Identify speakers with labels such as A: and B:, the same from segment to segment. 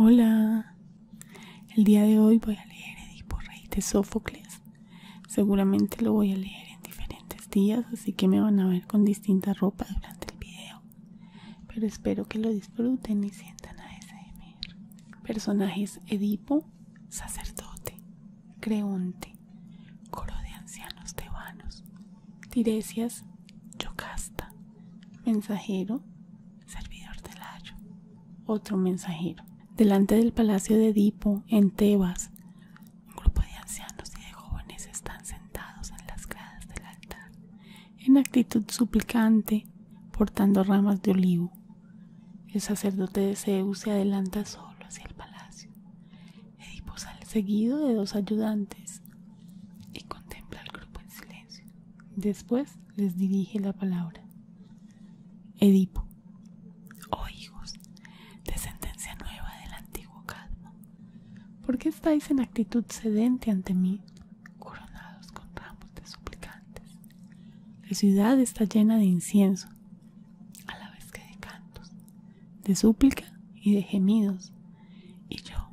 A: Hola, el día de hoy voy a leer Edipo Rey de Sófocles. Seguramente lo voy a leer en diferentes días, así que me van a ver con distinta ropa durante el video. Pero espero que lo disfruten y sientan a ASMR. Personajes Edipo, sacerdote, Creonte, coro de ancianos tebanos, Tiresias, Yocasta, mensajero, servidor del Layo, otro mensajero. Delante del palacio de Edipo, en Tebas, un grupo de ancianos y de jóvenes están sentados en las gradas del altar, en actitud suplicante, portando ramas de olivo. El sacerdote de Zeus se adelanta solo hacia el palacio. Edipo sale seguido de dos ayudantes y contempla al grupo en silencio. Después les dirige la palabra. Edipo, oh hijos, descendencia nueva del antiguo Cadmo, ¿por qué estáis en actitud sedente ante mí, coronados con ramos de suplicantes? La ciudad está llena de incienso, a la vez que de cantos, de súplica y de gemidos. Y yo,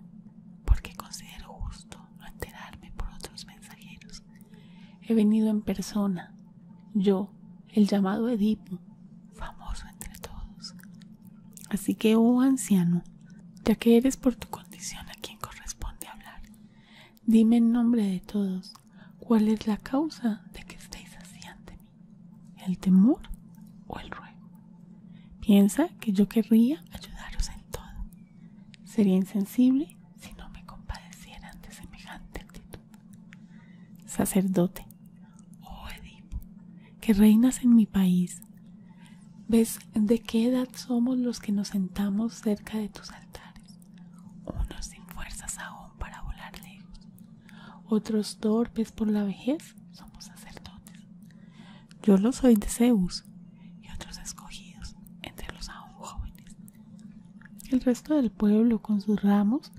A: porque considero justo no enterarme por otros mensajeros, he venido en persona, yo, el llamado Edipo, famoso entre todos. Así que, oh anciano, ya que eres por tu condición a quien corresponde hablar, Dime en nombre de todos, ¿cuál es la causa de que estéis así ante mí? ¿El temor o el ruego? Piensa que yo querría ayudaros en todo. Sería insensible si no me compadeciera ante semejante actitud. Sacerdote, oh Edipo, que reinas en mi país, ¿ves de qué edad somos los que nos sentamos cerca de tus altares? unos sin fuerzas aún para volar lejos, otros torpes por la vejez somos sacerdotes. Yo lo soy de Zeus y otros escogidos entre los aún jóvenes. El resto del pueblo con sus ramos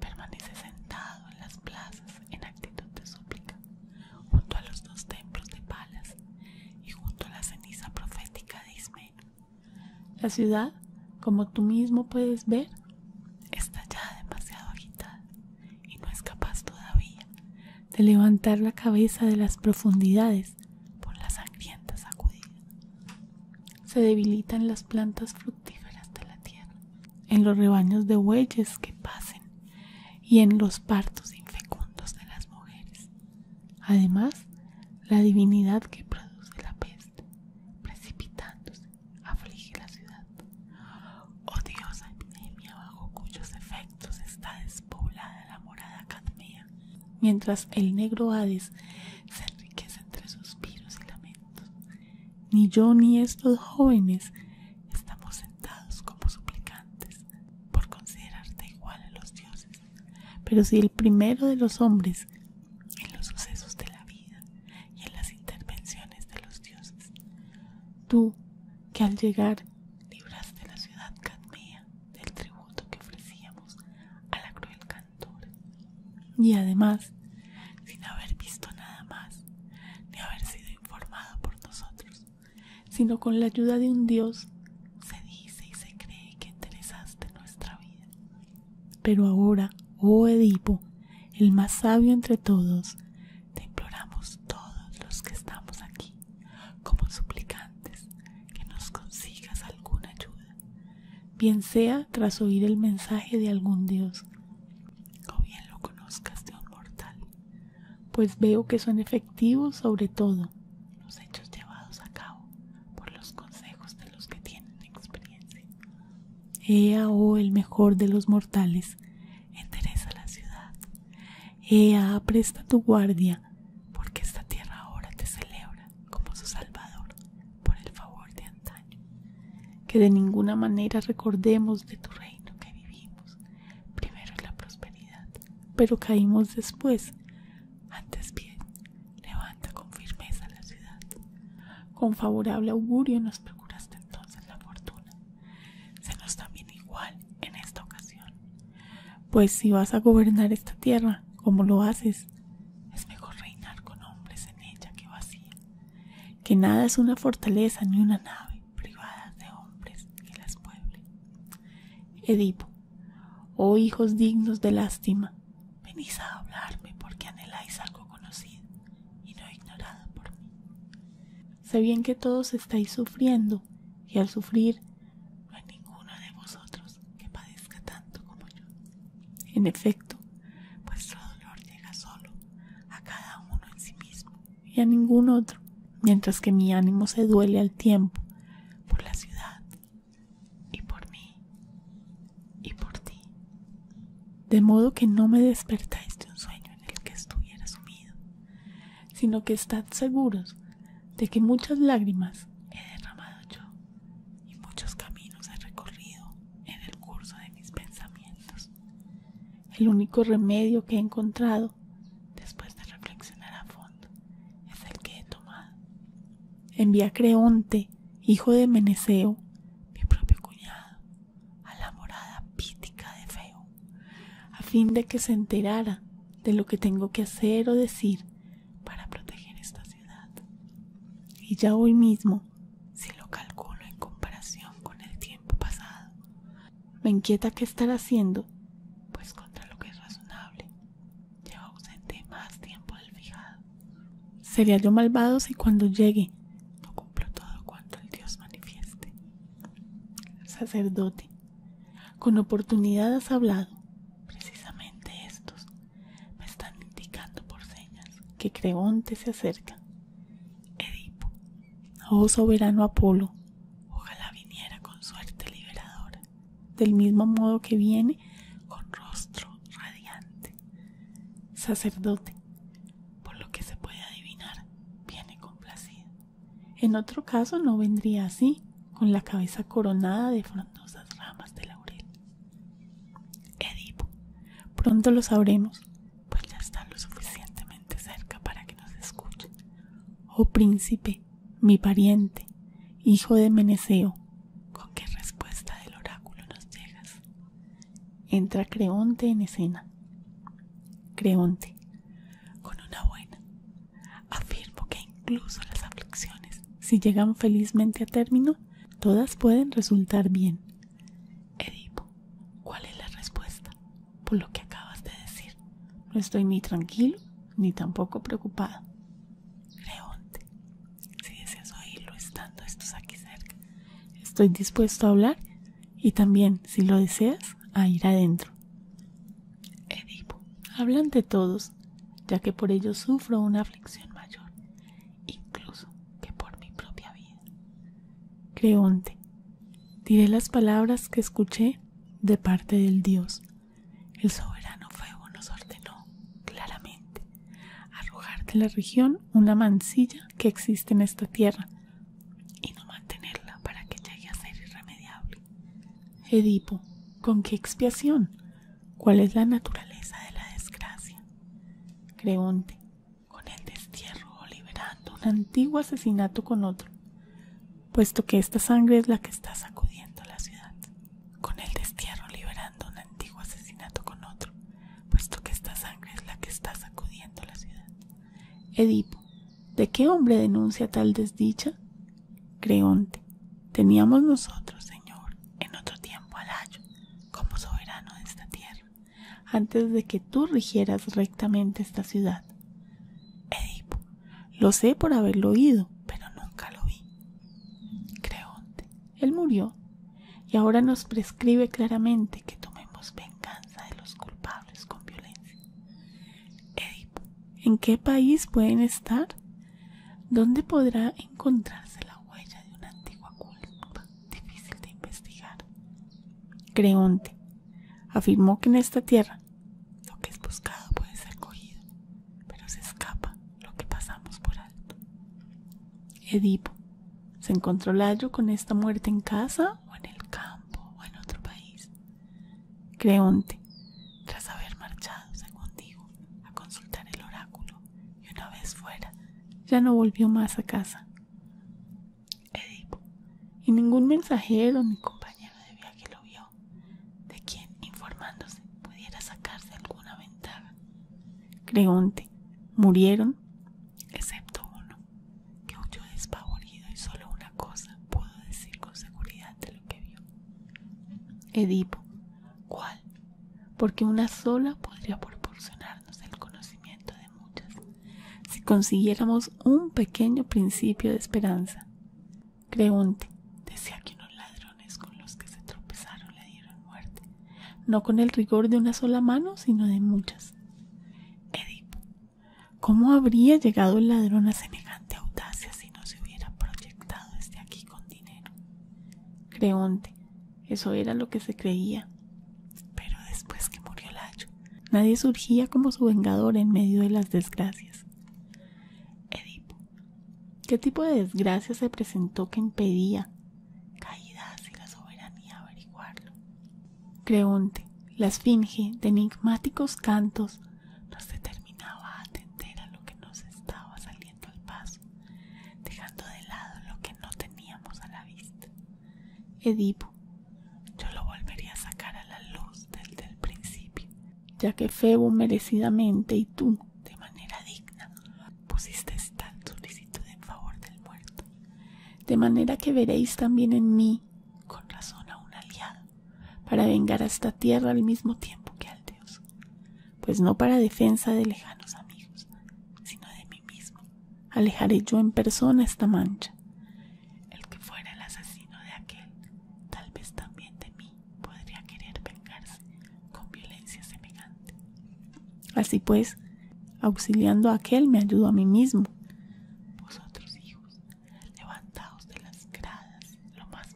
A: permanece sentado en las plazas en actitud de súplica, junto a los dos templos de Palas y junto a la ceniza profética de Ismeno. La ciudad, como tú mismo puedes ver, está ya demasiado agitada y no es capaz todavía de levantar la cabeza de las profundidades por la sangrienta sacudida. Se debilitan las plantas fructíferas de la tierra, en los rebaños de bueyes que pasen y en los partos infecundos de las mujeres. Además, la divinidad que produce la peste, precipitándose, aflige la ciudad. ¡Oh Odiosa epidemia bajo cuyos efectos está despoblada la morada Cadmea, mientras el negro Hades se enriquece entre suspiros y lamentos. Ni yo ni estos jóvenes estamos sentados como suplicantes por considerarte igual a los dioses pero si el primero de los hombres, en los sucesos de la vida y en las intervenciones de los dioses, tú que al llegar libraste la ciudad cadmea del tributo que ofrecíamos a la cruel cantora, y además, sin haber visto nada más, ni haber sido informado por nosotros, sino con la ayuda de un dios, se dice y se cree que interesaste nuestra vida pero ahora, oh Edipo, el más sabio entre todos, te imploramos todos los que estamos aquí, como suplicantes, que nos consigas alguna ayuda, bien sea tras oír el mensaje de algún dios, o bien lo conozcas de un mortal, pues veo que son efectivos sobre todo los hechos llevados a cabo por los consejos de los que tienen experiencia. Ea, oh el mejor de los mortales, entereza la ciudad. Ea, presta tu guardia, porque esta tierra ahora te celebra como su Salvador por el favor de antaño. Que de ninguna manera recordemos de tu reino que vivimos, primero en la prosperidad, pero caímos después, antes bien, levanta con firmeza la ciudad. Con favorable augurio nos procuraste entonces la fortuna. Se nos da igual en esta ocasión. Pues si vas a gobernar esta tierra, como lo haces, es mejor reinar con hombres en ella que vacía. Que nada es una fortaleza ni una nave privada de hombres que las pueble. Edipo, oh hijos dignos de lástima, venís a hablarme porque anheláis algo conocido y no ignorado por mí. Sé bien que todos estáis sufriendo, y al sufrir no hay ninguno de vosotros que padezca tanto como yo. En efecto, vuestro dolor llega solo a cada uno en sí mismo y a ningún otro, mientras que mi ánimo se duele al tiempo por la ciudad y por mí y por ti, de modo que no me despertáis de un sueño en el que estuviera sumido, sino que estad seguros de que muchas lágrimas he derramado yo y muchos caminos he recorrido en el curso de mis pensamientos. El único remedio que he encontrado después de reflexionar a fondo es el que he tomado Envía a Creonte, hijo de Meneceo, mi propio cuñado, a la morada pítica de Feo, a fin de que se enterara de lo que tengo que hacer o decir para proteger esta ciudad. Y ya hoy mismo, si lo calculo en comparación con el tiempo pasado, me inquieta qué estar haciendo, pues contra lo que es razonable Llevo ausente más tiempo del fijado. Sería yo malvado si cuando llegue no cumplo todo cuanto el Dios manifieste. Sacerdote, con oportunidad has hablado. Precisamente estos me están indicando por señas que Creonte se acerca. Edipo, oh soberano Apolo, ojalá viniera con suerte liberadora del mismo modo que viene con rostro radiante. Sacerdote, por lo que se puede adivinar, viene complacido. En otro caso no vendría así, con la cabeza coronada de frondosas ramas de laurel. Edipo, pronto lo sabremos, pues ya está lo suficientemente cerca para que nos escuche Oh príncipe, mi pariente, hijo de Meneceo, ¿Con qué respuesta del oráculo nos llegas? Entra Creonte en escena. Creonte, con una buena. Afirmo que incluso las aflicciones, si llegan felizmente a término, todas pueden resultar bien. Edipo, ¿cuál es la respuesta? Por lo que acabas de decir, no estoy ni tranquilo ni tampoco preocupado. Creonte, si deseas oírlo estando estos aquí cerca, estoy dispuesto a hablar y también, si lo deseas, a ir adentro. Edipo, hablan de todos, ya que por ello sufro una aflicción mayor, incluso que por mi propia vida. Creonte, diré las palabras que escuché de parte del Dios. El soberano fuego nos ordenó claramente arrojar de la región una mancilla que existe en esta tierra y no mantenerla para que llegue a ser irremediable. Edipo, ¿con qué expiación? ¿Cuál es la naturaleza de la desgracia? Creonte, con el destierro o liberando un antiguo asesinato con otro, puesto que esta sangre es la que está sacudiendo la ciudad con el destierro liberando un antiguo asesinato con otro, puesto que esta sangre es la que está sacudiendo la ciudad. Edipo, ¿de qué hombre denuncia tal desdicha? Creonte, teníamos nosotros, señor, en otro tiempo a layo como soberano de esta tierra, antes de que tú rigieras rectamente esta ciudad. Edipo, lo sé por haberlo oído, pero nunca lo vi. Creonte, él murió y ahora nos prescribe claramente que tomemos venganza de los culpables con violencia. Edipo, ¿en qué país pueden estar? ¿Dónde podrá encontrarse la huella de una antigua culpa difícil de investigar? Creonte afirmó que en esta tierra lo que es buscado puede ser cogido, pero se escapa lo que pasamos por Edipo, ¿se encontró Layo con esta muerte en casa o en el campo o en otro país? Creonte, tras haber marchado, según digo, a consultar el oráculo y una vez fuera, ya no volvió más a casa. Edipo, y ningún mensajero ni compañero de viaje lo vio, de quien, informándose, pudiera sacarse alguna ventaja. Creonte, murieron, excepto uno, que huyó despavorido y solo una cosa pudo decir con seguridad de lo que vio. Edipo, ¿cuál? Porque una sola podría proporcionarnos el conocimiento de muchas, si consiguiéramos un pequeño principio de esperanza. Creonte, decía que no ladrones con los que se tropezaron le dieron muerte, no con el rigor de una sola mano, sino de muchas. Edipo, ¿cómo habría llegado el ladrón a semejante audacia si no se hubiera proyectado desde aquí con dinero? Creonte, eso era lo que se creía. Pero después que murió Layo, nadie surgía como su vengador en medio de las desgracias. Edipo, ¿Qué tipo de desgracia se presentó que impedía, caídas y la soberanía, averiguarlo? Creonte, la esfinge de enigmáticos cantos, nos determinaba a atender a lo que nos estaba saliendo al paso, dejando de lado lo que no teníamos a la vista. Edipo, yo lo volvería a sacar a la luz desde el principio, ya que Febo merecidamente y tú de manera digna pusiste esta solicitud en favor del muerto, de manera que veréis también en mí con razón a un aliado, para vengar a esta tierra al mismo tiempo que al Dios, pues no para defensa de lejanos amigos, sino de mí mismo, alejaré yo en persona esta mancha. El que fuera el asesino de aquel, tal vez también de mí, podría querer vengarse, con violencia semejante. Así pues, auxiliando a aquel, me ayudo a mí mismo. Vosotros, hijos, levantaos de las gradas lo más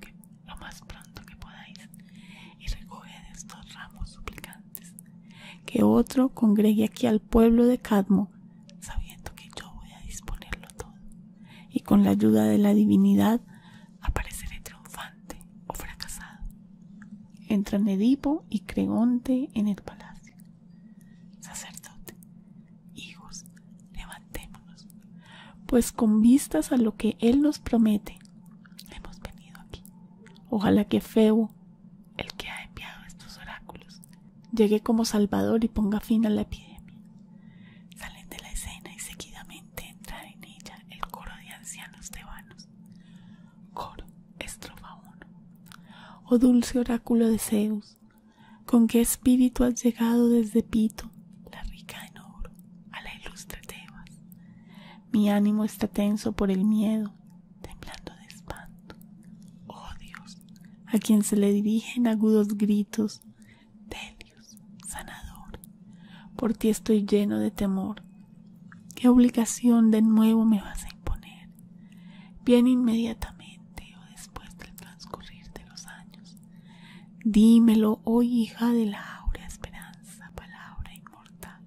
A: que, lo más pronto que podáis, y recoged estos ramos suplicantes. Que otro congregue aquí al pueblo de Cadmo, sabiendo que yo voy a disponerlo todo, y con la ayuda de la divinidad apareceré triunfante o fracasado. Entran Edipo y Creonte en el palacio. Sacerdote, hijos, levantémonos, pues con vistas a lo que él nos promete, hemos venido aquí. Ojalá que Febo, el que ha enviado estos oráculos, llegue como salvador y ponga fin a la epidemia. Salen de la escena y seguidamente entra en ella el coro de ancianos tebanos Coro, estrofa Oh dulce oráculo de Zeus, ¿con qué espíritu has llegado desde Pito, la rica en oro, a la ilustre Tebas? Mi ánimo está tenso por el miedo, temblando de espanto. Oh Dios, a quien se le dirigen agudos gritos, Delios, sanador, por ti estoy lleno de temor. ¿Qué obligación de nuevo me vas a imponer? Viene inmediatamente o después del transcurrir de los años. Dímelo, oh hija de la áurea esperanza, palabra inmortal.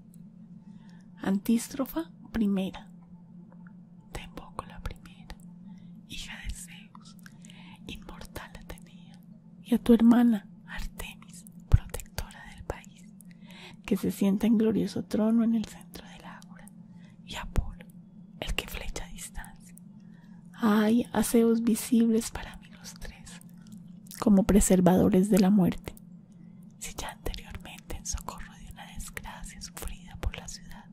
A: Antístrofa primera. Te la primera, hija de Zeus, inmortal la tenía y a tu hermana Artemis, protectora del país, que se sienta en glorioso trono en el centro del ágora, y a Apolo, el que flecha a distancia. ay aseos visibles para mí los tres, como preservadores de la muerte. Si ya anteriormente en socorro de una desgracia sufrida por la ciudad,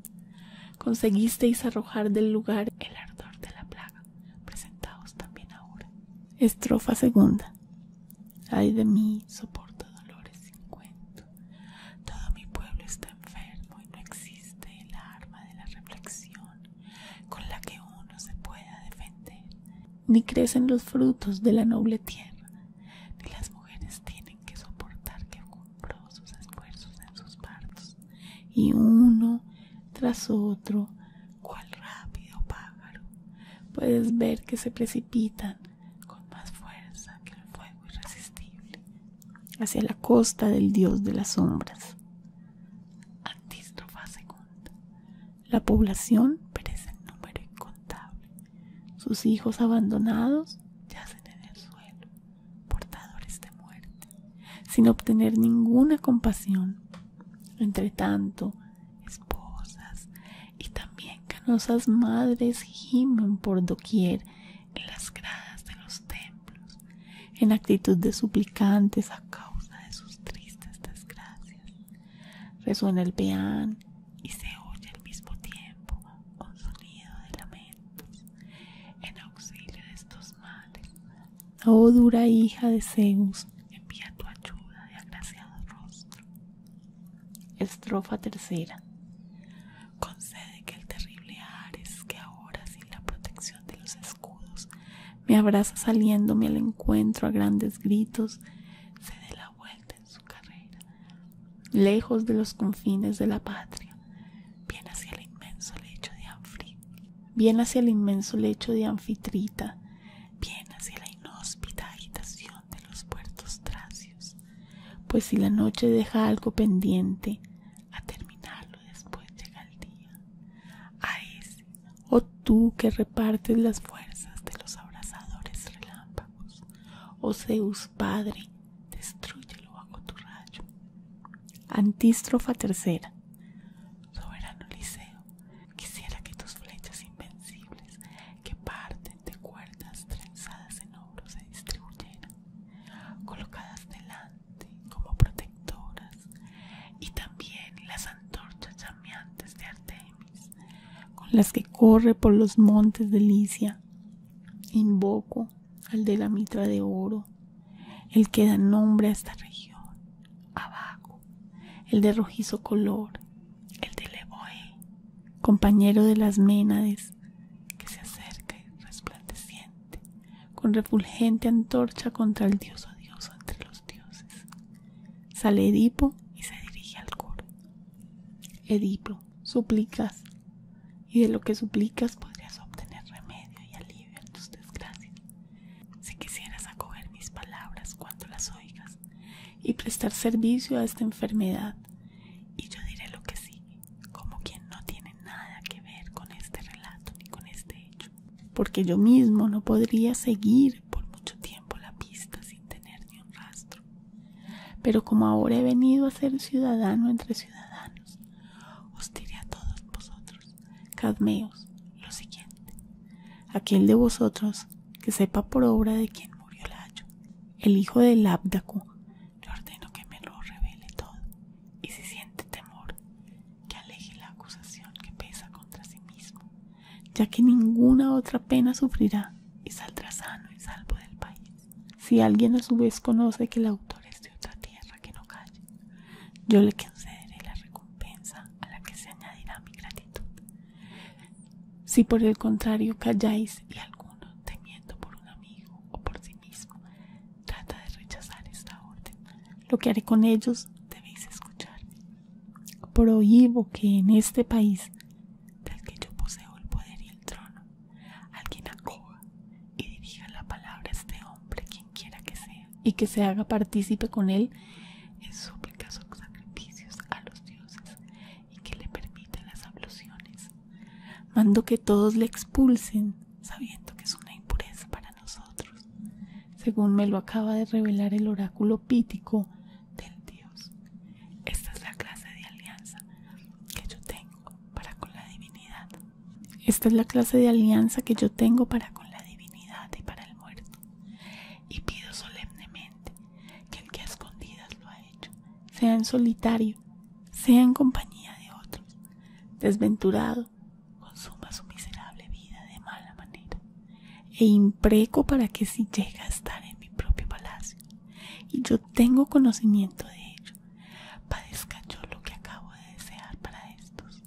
A: conseguisteis arrojar del lugar el ardor de la plaga, presentaos también ahora. Estrofa segunda. Ay de mí, soporto dolores sin cuento. Todo mi pueblo está enfermo y no existe el arma de la reflexión con la que uno se pueda defender. Ni crecen los frutos de la noble tierra, ni las mujeres tienen que soportar que cumplo sus esfuerzos en sus partos. Y uno tras otro cuál rápido pájaro, puedes ver que se precipitan con más fuerza que el fuego irresistible hacia la costa del dios de las sombras. Antístrofa segunda. La población perece en número incontable. Sus hijos abandonados yacen en el suelo, portadores de muerte, sin obtener ninguna compasión. Entre tanto, esposas y también canosas madres gimen por doquier en las gradas de los templos, en actitud de suplicantes a causa de sus tristes desgracias. Resuena el peán y se oye al mismo tiempo un sonido de lamentos en auxilio de estos males. Oh dura hija de Zeus, envía tu ayuda de agraciado Estrofa tercera. Concede que el terrible Ares, que ahora sin la protección de los escudos me abraza saliéndome al encuentro a grandes gritos, se dé la vuelta en su carrera, lejos de los confines de la patria, bien hacia el inmenso lecho de bien hacia el inmenso lecho de Anfitrita, bien hacia la inhóspita agitación de los puertos tracios, pues si la noche deja algo pendiente, a terminarlo después llega el día. A ese, oh tú que repartes las fuerzas de los abrasadores relámpagos, oh Zeus Padre, destruyelo bajo tu rayo. Antístrofa tercera. Soberano Liceo, Quisiera que tus flechas invencibles, que parten de cuerdas trenzadas en oro, se distribuyeran, colocadas delante como protectoras, y también las antorchas llameantes de Artemis, con las que corre por los montes de Licia. Invoco al de la mitra de oro, el que da nombre a esta región, abajo, el de rojizo color, el de Leboe, compañero de las Ménades, que se acerca y resplandeciente, con refulgente antorcha contra el dios odioso entre los dioses. Sale Edipo y se dirige al coro. Edipo, suplicas, y de lo que suplicas podrías obtener remedio y alivio en tus desgracias. Si quisieras acoger mis palabras cuando las oigas y prestar servicio a esta enfermedad. Y yo diré lo que sigue, como quien no tiene nada que ver con este relato ni con este hecho, porque yo mismo no podría seguir por mucho tiempo la pista sin tener ni un rastro. Pero como ahora he venido a ser ciudadano entre ciudadanos, os diré a todos vosotros, cadmeos, lo siguiente aquel de vosotros que sepa por obra de quién murió Layo, el hijo del Abdaco, le ordeno que me lo revele todo, y si siente temor, que aleje la acusación que pesa contra sí mismo, ya que ninguna otra pena sufrirá y saldrá sano y salvo del país. Si alguien a su vez conoce que el autor es de otra tierra que no calle, yo le concederé la recompensa a la que se añadirá mi gratitud. Si por el contrario calláis y alguno, temiendo por un amigo o por sí mismo, trata de rechazar esta orden, lo que haré con ellos debéis escucharme. Prohíbo que en este país, del que yo poseo el poder y el trono, alguien acoja y dirija la palabra a este hombre, quien quiera que sea, y que se haga partícipe con él en su que sacrificios a los dioses y que le permitan las abluciones. Mando que todos le expulsen, sabiendo que es una impureza para nosotros, según me lo acaba de revelar el oráculo pítico del dios. Esta es la clase de alianza que yo tengo para con la divinidad. Esta es la clase de alianza que yo tengo para con la divinidad y para el muerto. Y pido solemnemente que el que a escondidas lo ha hecho, sea en solitario, sea en compañía de otros. Desventurado, consuma su miserable vida de mala manera, e impreco para que si llega a estar en mi propio palacio, y yo tengo conocimiento de ello, padezca yo lo que acabo de desear para estos,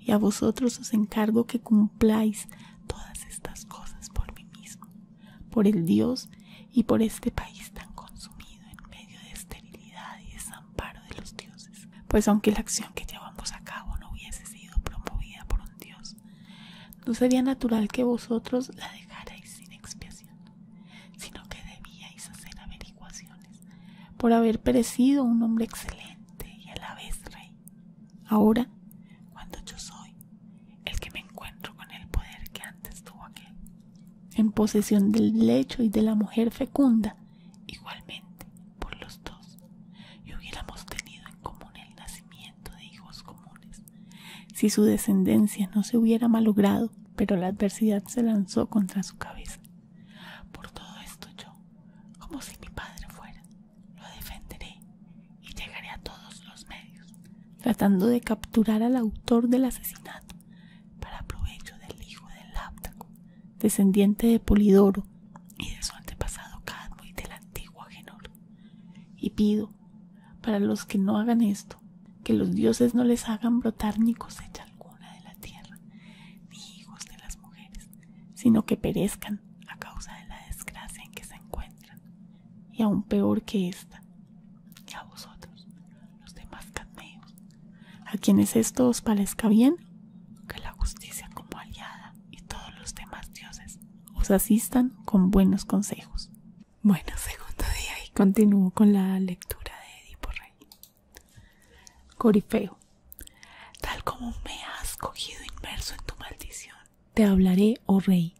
A: y a vosotros os encargo que cumpláis todas estas cosas por mí mismo por el Dios y por este país tan consumido en medio de esterilidad y desamparo de los dioses, pues aunque la acción que llevamos a cabo no hubiese sido promovida por un Dios, no sería natural que vosotros la dejarais sin expiación, sino que debíais hacer averiguaciones por haber perecido un hombre excelente y a la vez rey. Ahora, cuando yo soy el que me encuentro con el poder que antes tuvo aquel, en posesión del lecho y de la mujer fecunda, igualmente por los dos, y hubiéramos tenido en común el nacimiento de hijos comunes, si su descendencia no se hubiera malogrado, pero la adversidad se lanzó contra su cabeza. Por todo esto yo, como si mi padre fuera, lo defenderé y llegaré a todos los medios, tratando de capturar al autor del asesinato para provecho del hijo del Láptaco, descendiente de Polidoro y de su antepasado Cadmo y del antiguo Agenor. Y pido, para los que no hagan esto, que los dioses no les hagan brotar ni cosecha alguna de la tierra, ni hijos de las mujeres, sino que perezcan a causa de la desgracia en que se encuentran y aún peor que esta, y a vosotros, los demás cadmeos, a quienes esto os parezca bien, que la justicia como aliada y todos los demás dioses os asistan con buenos consejos. Bueno, segundo día y continúo con la lectura de Edipo Rey. Corifeo, tal como me has cogido inmerso en tu maldición, te hablaré, oh rey,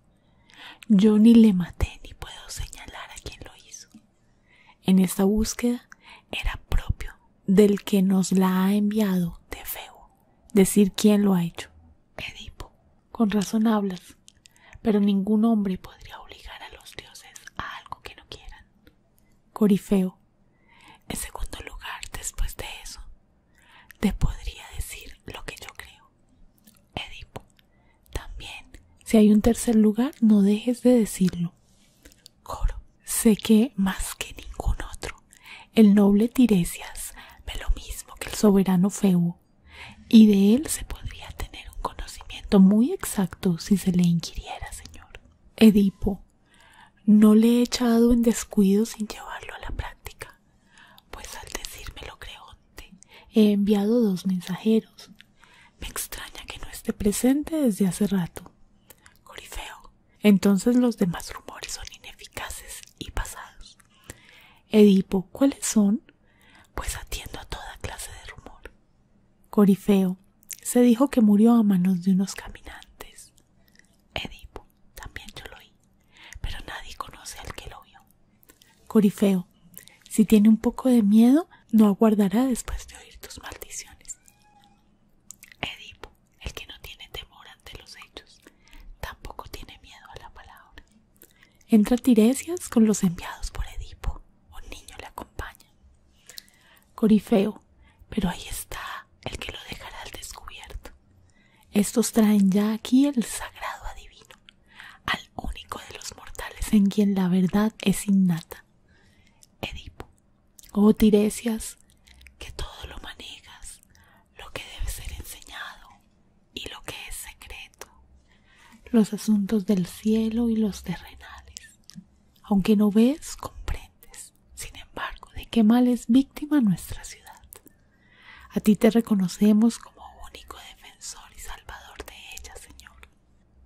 A: yo ni le maté ni puedo señalar a quien lo hizo. En esta búsqueda era propio del que nos la ha enviado de feo decir quién lo ha hecho. Edipo, con razón hablas, pero ningún hombre podría obligar a los dioses a algo que no quieran. Corifeo, en segundo lugar, después de eso, te podría decir lo que yo creo. Edipo. También, si hay un tercer lugar, no dejes de decirlo. Coro. Sé que más que ningún otro, el noble Tiresias ve lo mismo que el soberano Febo, y de él se podría tener un conocimiento muy exacto si se le inquiriera, señor. Edipo. No le he echado en descuido sin llevarlo a la práctica pues al lo Creonte he enviado dos mensajeros. Me extraña que no esté presente desde hace rato. Corifeo, entonces los demás rumores son ineficaces y pasados. Edipo, ¿cuáles son? Pues atiendo a toda clase de rumor. Corifeo, se dijo que murió a manos de unos caminantes. Edipo, también yo lo oí, pero nadie conoce al que lo vio. Corifeo, si tiene un poco de miedo, no aguardará después de oír tus maldiciones. Edipo, el que no tiene temor ante los hechos, tampoco tiene miedo a la palabra. Entra Tiresias con los enviados por Edipo. Un niño le acompaña. Corifeo, pero ahí está el que lo dejará al descubierto. Estos traen ya aquí el sagrado adivino, al único de los mortales en quien la verdad es innata. Edipo, oh Tiresias, que todo lo manejas, lo que debe ser enseñado y lo que es secreto, los asuntos del cielo y los terrenales. Aunque no ves, comprendes, sin embargo, de qué mal es víctima nuestra ciudad. A ti te reconocemos como único defensor y salvador de ella, Señor.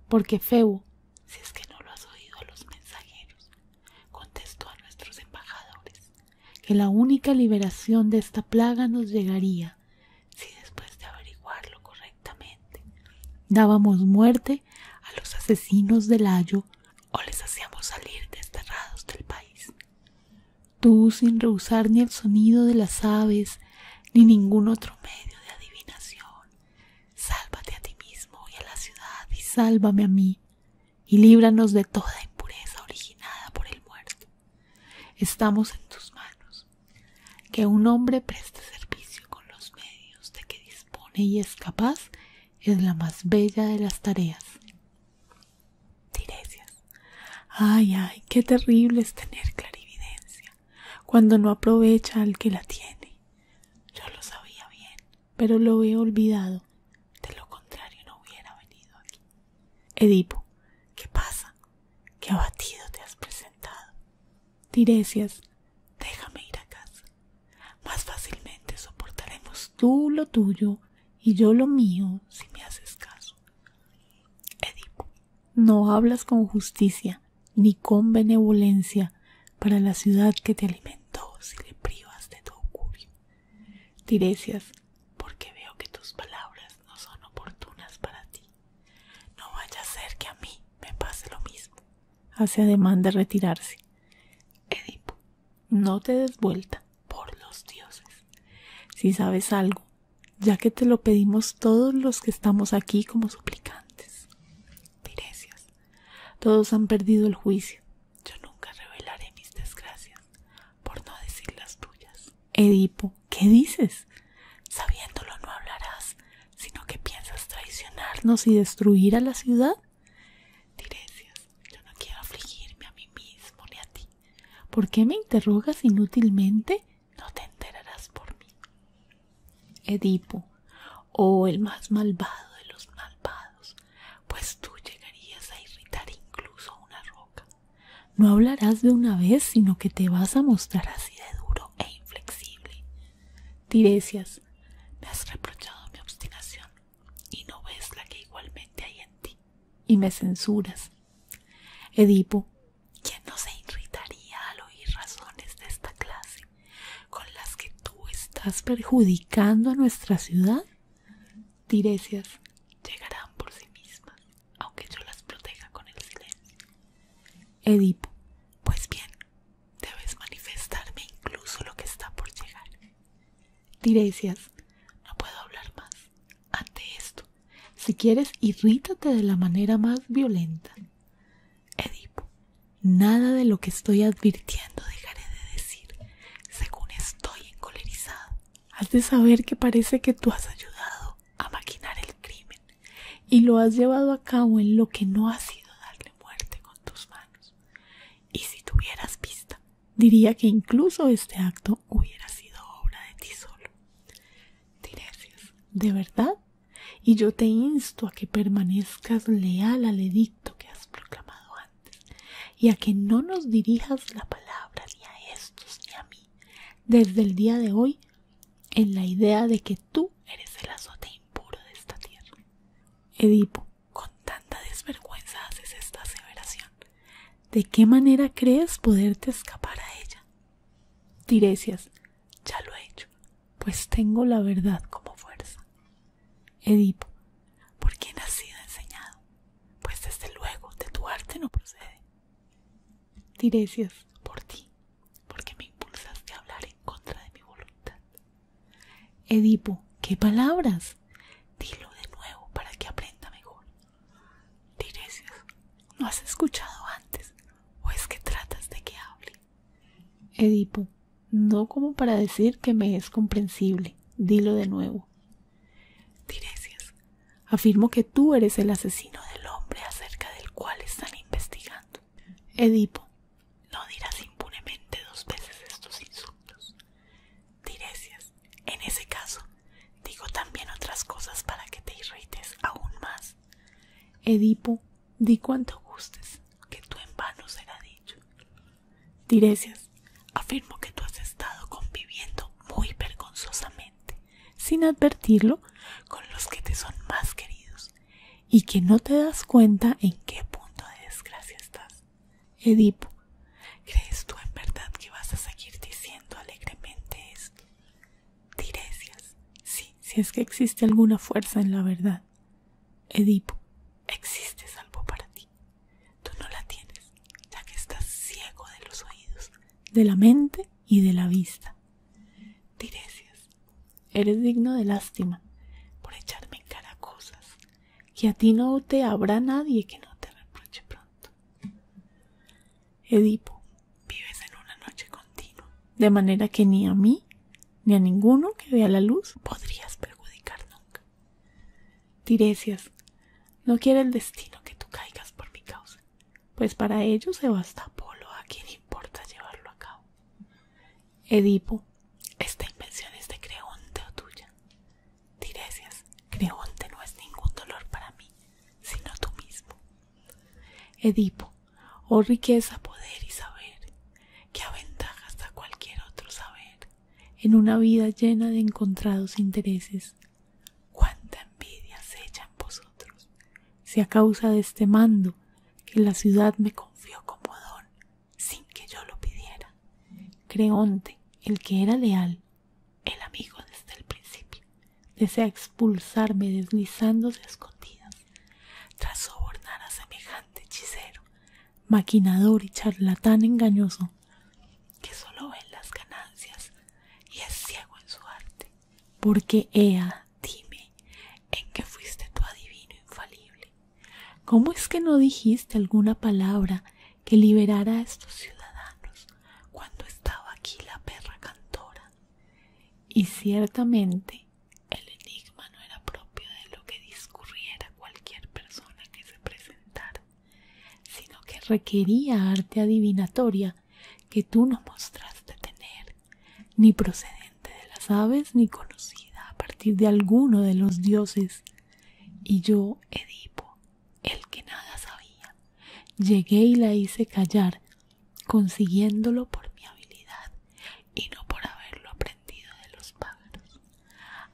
A: Porque Febo, si es que no lo has oído a los mensajeros, contestó a nuestros embajadores, que la única liberación de esta plaga nos llegaría si después de averiguarlo correctamente dábamos muerte a los asesinos del ayo o les hacíamos salir desterrados del país tú sin rehusar ni el sonido de las aves ni ningún otro medio de adivinación. Sálvate a ti mismo y a la ciudad y sálvame a mí y líbranos de toda impureza originada por el muerto. Estamos en tus manos. Que un hombre preste servicio con los medios de que dispone y es capaz es la más bella de las tareas. Tiresias. Ay, ay, qué terrible es tener clarividencia cuando no aprovecha al que la tiene. Yo lo sabía bien, pero lo he olvidado. De lo contrario no hubiera venido aquí. Edipo, ¿qué pasa? Qué abatido te has presentado. Tiresias, déjame ir a casa. Más fácilmente soportaremos tú lo tuyo y yo lo mío si me haces caso. Edipo, no hablas con justicia ni con benevolencia para la ciudad que te alimentó si le privas de tu augurio. Tiresias, porque veo que tus palabras no son oportunas para ti. No vaya a ser que a mí me pase lo mismo. Hace ademán de retirarse. Edipo, no te des vuelta por los dioses. Si sabes algo ya que te lo pedimos todos los que estamos aquí como suplicantes. Tiresias, todos han perdido el juicio. Yo nunca revelaré mis desgracias, por no decir las tuyas. Edipo, ¿qué dices? Sabiéndolo no hablarás, sino que piensas traicionarnos y destruir a la ciudad. Tiresias, yo no quiero afligirme a mí mismo ni a ti. ¿Por qué me interrogas inútilmente? No te enterarás por mí. Edipo, oh el más malvado de los malvados, pues tú llegarías a irritar incluso a una roca. No hablarás de una vez, sino que te vas a mostrar así de duro e inflexible. Tiresias, me has reprochado mi obstinación, y no ves la que igualmente hay en ti, y me censuras Edipo, ¿quién no se irritaría al oír razones de esta clase con las que tú estás perjudicando a nuestra ciudad? Tiresias, llegarán por sí mismas, aunque yo las proteja con el silencio. Edipo, pues bien, debes manifestarme incluso lo que está por llegar. Tiresias, no puedo hablar más. Ante esto, si quieres, irrítate de la manera más violenta. Edipo, nada de lo que estoy advirtiendo dejaré de decir, según estoy encolerizado. Has de saber que parece que tú has ayudado a maquinar el crimen y lo has llevado a cabo en lo que no ha sido darle muerte con tus manos. Y si tuvieras pista, diría que incluso este acto hubiera sido obra de ti solo. Tiresias, ¿de verdad? Y yo te insto a que permanezcas leal al edicto que has proclamado antes, y a que no nos dirijas la palabra ni a estos ni a mí, desde el día de hoy, en la idea de que tú eres el azote impuro de esta tierra. Edipo, con tanta desvergüenza haces esta aseveración ¿De qué manera crees poderte escapar a ella? Tiresias, ya lo he hecho, pues tengo la verdad como fuerza. Edipo, ¿por quién has sido enseñado? Pues desde luego de tu arte no procede. Tiresias, por ti, porque me impulsaste a hablar en contra de mi voluntad. Edipo, ¿qué palabras? Dilo de nuevo para que aprenda mejor. Tiresias, ¿no has escuchado antes? ¿O es que tratas de que hable? Edipo, no como para decir que me es comprensible. Dilo de nuevo. Tiresias, afirmo que tú eres el asesino del hombre acerca del cual están investigando. Edipo, no dirás impunemente dos veces estos insultos. Tiresias, en ese caso, digo también otras cosas para que te irrites aún más. Edipo, di cuanto gustes, que tú en vano será dicho. Tiresias, afirmo que tú has estado conviviendo muy vergonzosamente, sin advertirlo, con los que te son más queridos, y que no te das cuenta en qué punto de desgracia estás. Edipo, ¿crees tú en verdad que vas a seguir diciendo alegremente esto? Tiresias, sí, si es que existe alguna fuerza en la verdad. Edipo, existe salvo para ti. Tú no la tienes, ya que estás ciego de los oídos, de la mente y de la vista. Tiresias, eres digno de lástima por echarme en cara cosas que a ti no te habrá nadie que no te reproche pronto. Edipo, vives en una noche continua, de manera que ni a mí ni a ninguno que vea la luz podrías perjudicar nunca. Tiresias, no quiere el destino que tú caigas por mi causa, pues para ello se basta Apolo a quien importa llevarlo a cabo. Edipo, esta invención es de Creonte o tuya. Tiresias, Creonte no es ningún dolor para mí, sino tú mismo. Edipo, oh riqueza, poder y saber, qué aventajas hasta cualquier otro saber, en una vida llena de encontrados intereses. Cuánta envidia se echa en vosotros, si a causa de este mando que la ciudad me confió como don, sin que yo lo pidiera. Creonte, el que era leal, el amigo desde el principio desea expulsarme deslizándose a escondidas. Tras sobornar a semejante hechicero, maquinador y charlatán engañoso, que solo ve las ganancias y es ciego en su arte. Porque Ea, dime, ¿en qué fuiste tu adivino infalible? ¿Cómo es que no dijiste alguna palabra que liberara a estos ciudadanos cuando estaba aquí la perra cantora? y ciertamente el enigma no era propio de lo que discurriera cualquier persona que se presentara, sino que requería arte adivinatoria que tú no mostraste tener, ni procedente de las aves, ni conocida a partir de alguno de los dioses. Y yo, Edipo, el que nada sabía, llegué y la hice callar consiguiéndolo por mi habilidad y no por haberlo aprendido de los pájaros.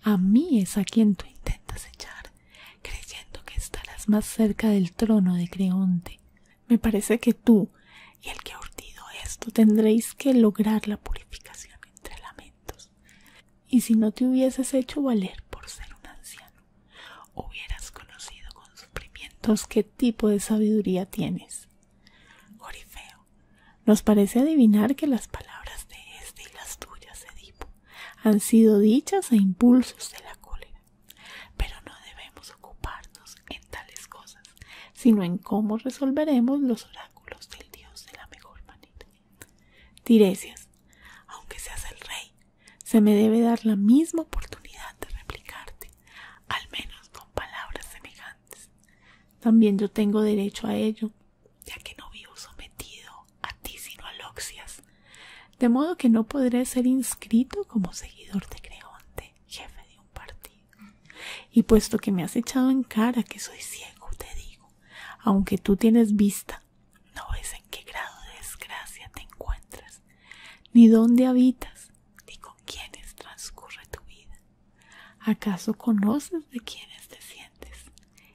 A: A mí es a quien tú intentas echar, creyendo que estarás más cerca del trono de Creonte. Me parece que tú y el que ha urtido esto tendréis que lograr la purificación entre lamentos. Y si no te hubieses hecho valer por ser un anciano, hubieras conocido con sufrimientos qué tipo de sabiduría tienes. Orifeo, nos parece adivinar que las palabras de este y las tuyas, Edipo, han sido dichas a impulsos de la cólera, pero no debemos ocuparnos en tales cosas, sino en cómo resolveremos los oráculos del dios de la mejor manera. Tiresias, aunque seas el rey, se me debe dar la misma oportunidad de replicarte, al menos con palabras semejantes. También yo tengo derecho a ello, ya que no vivo sometido a ti sino a Loxias, de modo que no podré ser inscrito como seguidor de Creonte, jefe de un partido. Y puesto que me has echado en cara que soy ciego, te digo, aunque tú tienes vista, no ves en qué grado de desgracia te encuentras ni dónde habitas, ni con quienes transcurre tu vida. ¿Acaso conoces de quiénes te sientes?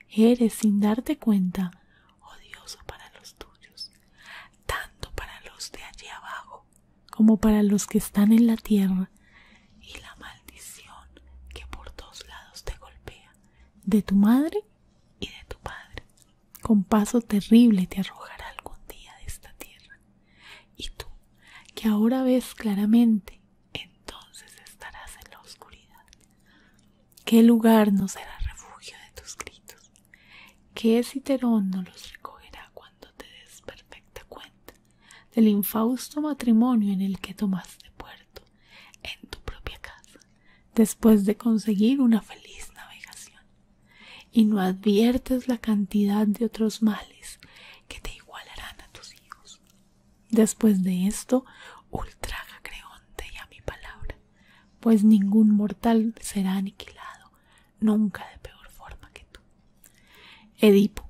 A: Eres, sin darte cuenta, odioso para los tuyos, tanto para los de allí abajo como para los que están en la tierra, y la maldición que por dos lados te golpea, de tu madre y de tu padre con paso terrible te arrojará algún día de esta tierra. Y tú, que ahora ves claramente, entonces estarás en la oscuridad. ¿Qué lugar no será refugio de tus gritos? ¿Qué citerón no los recogerá cuando te des perfecta cuenta del infausto matrimonio en el que tomaste puerto en tu propia casa, después de conseguir una feliz navegación? y no adviertes la cantidad de otros males que te igualarán a tus hijos. Después de esto, ultraja Creonte y a mi palabra, pues ningún mortal será aniquilado, nunca de peor forma que tú. Edipo,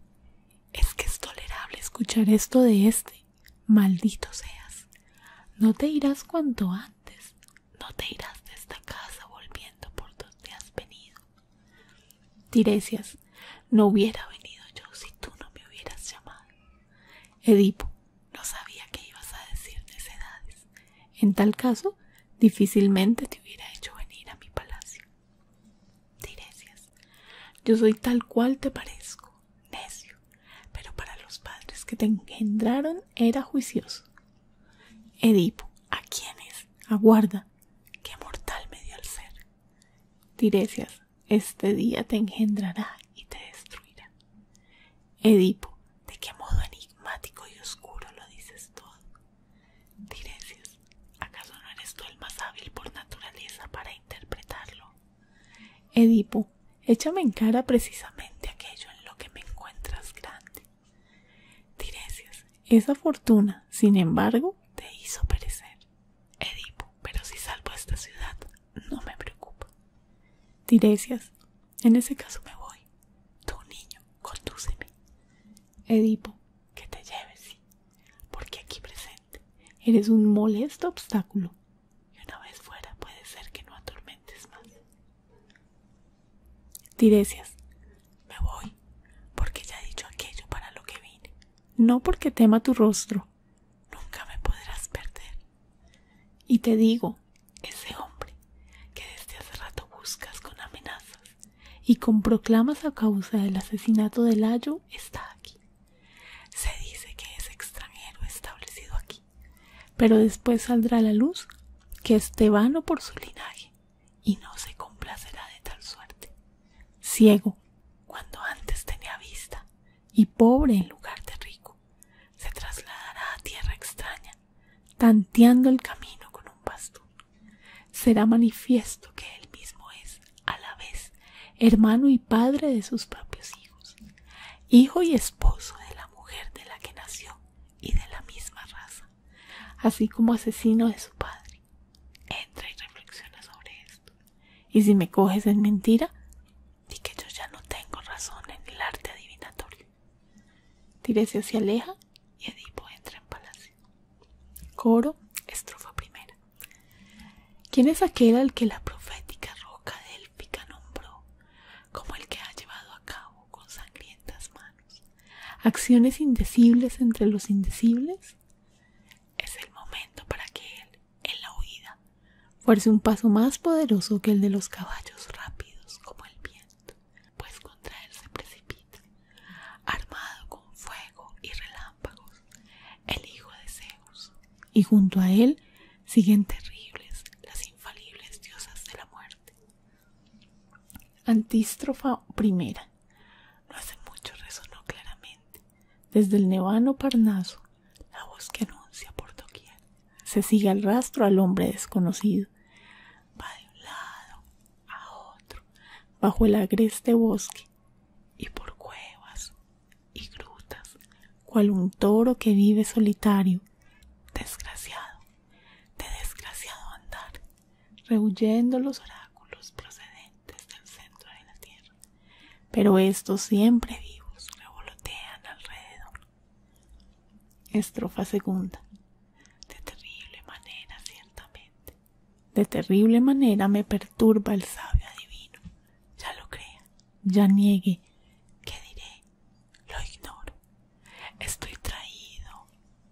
A: es que es tolerable escuchar esto de este, maldito seas. No te irás cuanto antes no te irás de esta casa volviendo por donde has venido. Tiresias, no hubiera venido yo si tú no me hubieras llamado. Edipo, no sabía que ibas a decir necedades. En tal caso, difícilmente te hubiera hecho venir a mi palacio. Tiresias, yo soy tal cual te parezco, necio, pero para los padres que te engendraron era juicioso. Edipo, ¿a quién es? Aguarda, ¡qué mortal me dio el ser. Tiresias, este día te engendrará y te destruirá. Edipo, ¿de qué modo enigmático y oscuro lo dices todo? Tiresias, ¿acaso no eres tú el más hábil por naturaleza para interpretarlo? Edipo, échame en cara precisamente aquello en lo que me encuentras grande. Tiresias, esa fortuna, sin embargo, te hizo perecer. Edipo, pero si salvo esta ciudad, no me preocupa. Tiresias, en ese caso me voy. Tú, niño, condúceme. Edipo, que te lleves, sí, porque aquí presente eres un molesto obstáculo y una vez fuera puede ser que no atormentes más. Tiresias, me voy, porque ya he dicho aquello para lo que vine, no porque tema tu rostro, nunca me podrás perder. Y te digo, ese hombre que desde hace rato buscas con amenazas y con proclamas a causa del asesinato de Layo está aquí. Se dice que es extranjero establecido aquí, pero después saldrá a la luz que es tebano por su linaje y no se complacerá de tal suerte. Ciego, cuando antes tenía vista, y pobre en lugar de rico, se trasladará a tierra extraña, tanteando el camino con un bastón. Será manifiesto que él mismo es, a la vez, hermano y padre de sus propios hijos, hijo y esposo de la mujer de la que nació y de la misma raza, así como asesino de su padre. Entra y reflexiona sobre esto. Y si me coges en mentira, di que yo ya no tengo razón en el arte adivinatorio. Tírese hacia aleja y Edipo entra en palacio. Coro, estrofa primera. ¿Quién es aquel al que la profética roca délfica nombró como el que ha llevado a cabo con sangrientas manos? acciones indecibles entre los indecibles, es el momento para que él, en la huida, fuerce un paso más poderoso que el de los caballos rápidos como el viento, pues contra él se precipita, armado con fuego y relámpagos, el hijo de Zeus, y junto a él siguen terribles las infalibles diosas de la muerte, Antístrofa primera. No hace mucho resonó claramente desde el nevano Parnaso la voz que anuncia por doquier. Se sigue al rastro al hombre desconocido. Va de un lado a otro, bajo el agreste bosque y por cuevas y grutas, cual un toro que vive solitario. Desgraciado, de desgraciado andar, rehuyendo los oráculos procedentes del centro de la tierra. Pero estos siempre vivos revolotean alrededor. Estrofa segunda. De terrible manera, ciertamente. De terrible manera me perturba el sabio adivino. Ya lo crea, ya niegue. ¿Qué diré? Lo ignoro. Estoy traído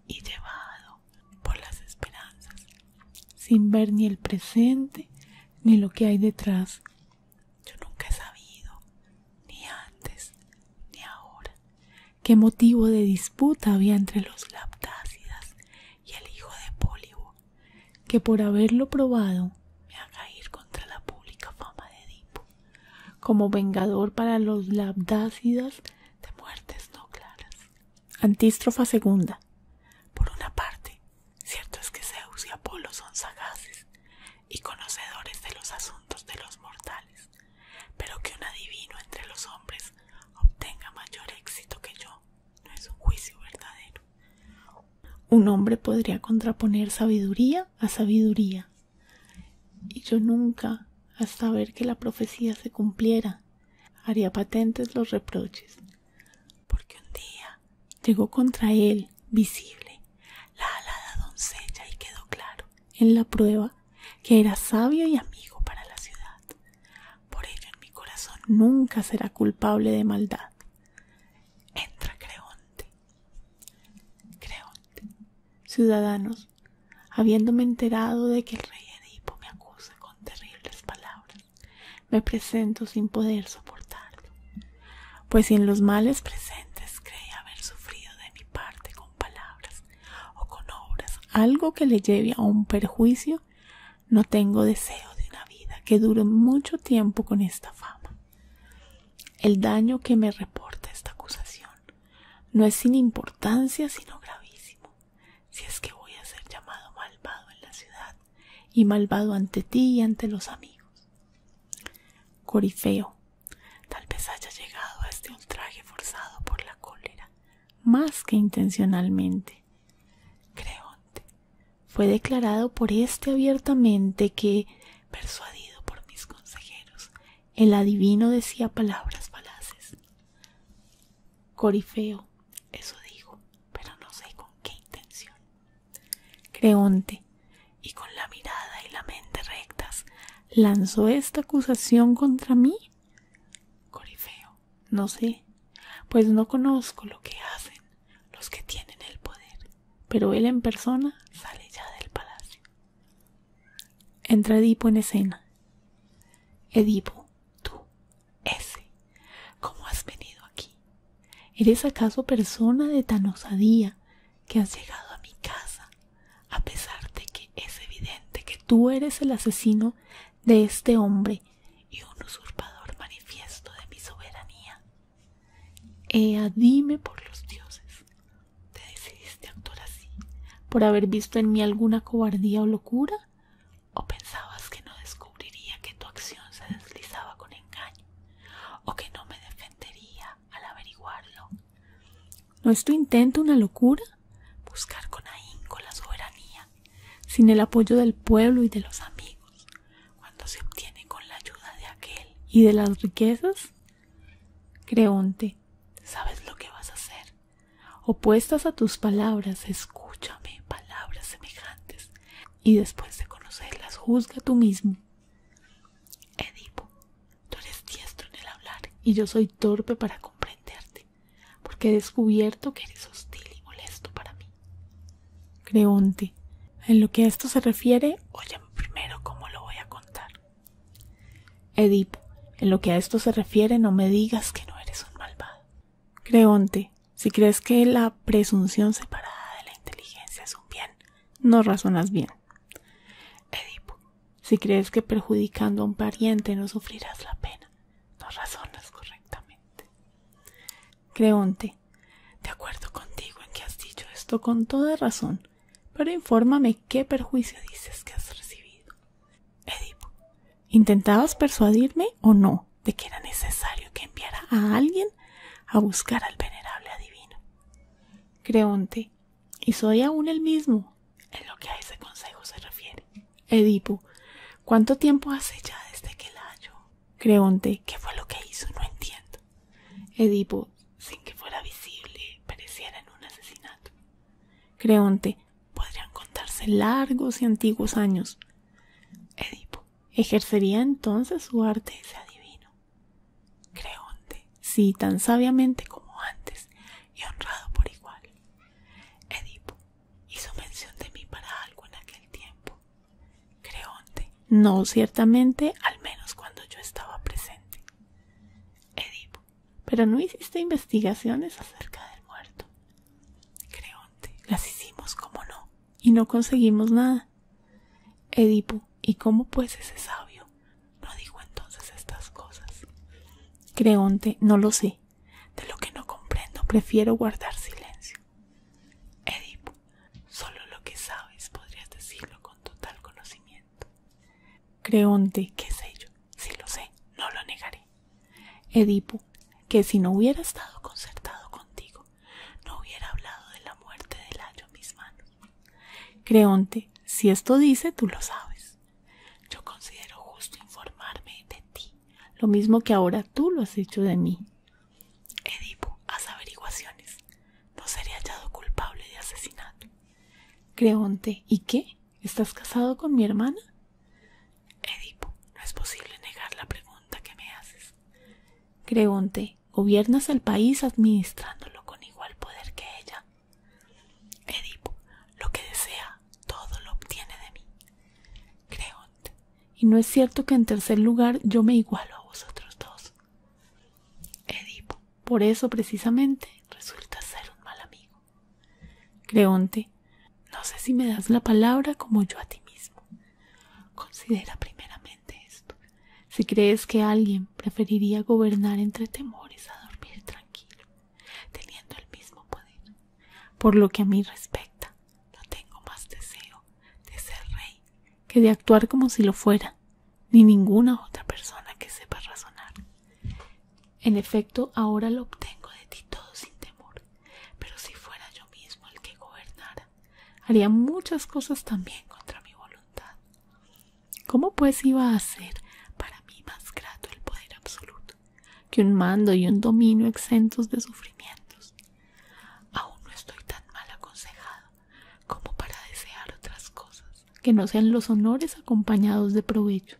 A: y llevado por las esperanzas, sin ver ni el presente ni lo que hay detrás. Yo nunca he sabido, ni antes ni ahora, qué motivo de disputa había entre los labdácidas y el hijo de Pólibo, que por haberlo probado me haga ir contra la pública fama de Edipo, como vengador para los Labdácidas de muertes no claras. Antístrofa segunda. Por una parte, cierto es que Zeus y Apolo son sagaces y conocedores de los asuntos de los mortales, pero que un adivino entre los hombres obtenga mayor éxito que yo no es un juicio verdadero. Un hombre podría contraponer sabiduría a sabiduría y yo nunca, hasta ver que la profecía se cumpliera, haría patentes los reproches, porque un día llegó contra él, visible, la alada doncella y quedó claro, en la prueba, que era sabio y amigo para la ciudad. Por ello en mi corazón nunca será culpable de maldad. Entra Creonte. Ciudadanos, habiéndome enterado de que el rey Edipo me acusa con terribles palabras, me presento sin poder soportarlo, pues si en los males presentes cree haber sufrido de mi parte con palabras o con obras algo que le lleve a un perjuicio, no tengo deseo de una vida que dure mucho tiempo con esta fama. El daño que me reporta esta acusación no es sin importancia, sino gravísimo, si es que voy a ser llamado malvado en la ciudad y malvado ante ti y ante los amigos. Corifeo, tal vez haya llegado a este ultraje forzado por la cólera, más que intencionalmente. Creonte, fue declarado por éste abiertamente que, persuadido por mis consejeros, el adivino decía palabras falaces Corifeo, eso digo, pero no sé con qué intención. Creonte, y con la mirada y la mente rectas, lanzó esta acusación contra mí. Corifeo, no sé, pues no conozco lo que hacen los que tienen el poder, pero él en persona sale ya del palacio. Entra Edipo en escena. Edipo, tú, ese, ¿cómo has venido aquí? ¿Eres acaso persona de tan osadía que has llegado a mi casa, a pesar de que es evidente que tú eres el asesino de este hombre y un usurpador manifiesto de mi soberanía? Ea, dime por los dioses, te decidiste actor así por haber visto en mí alguna cobardía o locura o pensabas que no descubriría que tu acción se deslizaba con engaño o que no me defendería al averiguarlo no es tu intento una locura buscar con ahínco la soberanía sin el apoyo del pueblo y de los amigos cuando se obtiene con la ayuda de aquel y de las riquezas Creonte, ¿sabes lo que vas a hacer? Opuestas a tus palabras, escúchame palabras semejantes, y después de conocerlas, juzga tú mismo. Edipo, tú eres diestro en el hablar, y yo soy torpe para comprenderte, porque he descubierto que eres hostil y molesto para mí. Creonte, en lo que a esto se refiere, óyame primero cómo lo voy a contar. Edipo, en lo que a esto se refiere, no me digas que no eres un malvado. Creonte, si crees que la presunción separada de la inteligencia es un bien, no razonas bien. Edipo, si crees que perjudicando a un pariente no sufrirás la pena, no razonas correctamente. Creonte, de acuerdo contigo en que has dicho esto con toda razón, pero infórmame qué perjuicio dices que has recibido. Edipo, ¿intentabas persuadirme o no de que era necesario que enviara a alguien a buscar al venerable adivino? Creonte, y soy aún el mismo en lo que a ese consejo se refiere. Edipo, ¿cuánto tiempo hace ya desde que la halló? Creonte, ¿qué fue lo que hizo? No entiendo. Edipo, sin que fuera visible, pareciera en un asesinato. Creonte, podrían contarse largos y antiguos años. Edipo ejercería entonces su arte y adivino. Creonte, sí, tan sabiamente como antes y honrado por igual. Edipo hizo mención de mí para algo en aquel tiempo. Creonte, no ciertamente, al menos cuando yo estaba presente pero no hiciste investigaciones acerca del muerto. Creonte, las hicimos como no, y no conseguimos nada. Edipo, ¿y cómo pues ese sabio no dijo entonces estas cosas? Creonte, no lo sé. De lo que no comprendo, prefiero guardar silencio. Edipo, solo lo que sabes podrías decirlo con total conocimiento. Creonte, qué sé yo, si lo sé, no lo negaré. Edipo, que si no hubiera estado concertado contigo, no hubiera hablado de la muerte del ayo en mis manos. Creonte, si esto dice, tú lo sabes. Yo considero justo informarme de ti, lo mismo que ahora tú lo has hecho de mí. Edipo, haz averiguaciones. No seré hallado culpable de asesinato. Creonte, ¿y qué? ¿Estás casado con mi hermana? Edipo, no es posible negar la pregunta que me haces. Creonte, gobiernas el país administrándolo con igual poder que ella. Edipo, lo que desea, todo lo obtiene de mí. Creonte, y no es cierto que en tercer lugar yo me igualo a vosotros dos. Edipo, por eso precisamente resulta ser un mal amigo. Creonte, no sé si me das la palabra como yo a ti mismo. Considera primeramente esto. Si crees que alguien preferiría gobernar entre temores a dormir tranquilo, teniendo el mismo poder. Por lo que a mí respecta, no tengo más deseo de ser rey que de actuar como si lo fuera, ni ninguna otra persona que sepa razonar. En efecto, ahora lo obtengo de ti todo sin temor, pero si fuera yo mismo el que gobernara, haría muchas cosas también contra mi voluntad. ¿Cómo pues iba a ser para mí más grato el poder absoluto que un mando y un dominio exentos de sufrimientos? Aún no estoy tan mal aconsejado como para desear otras cosas que no sean los honores acompañados de provecho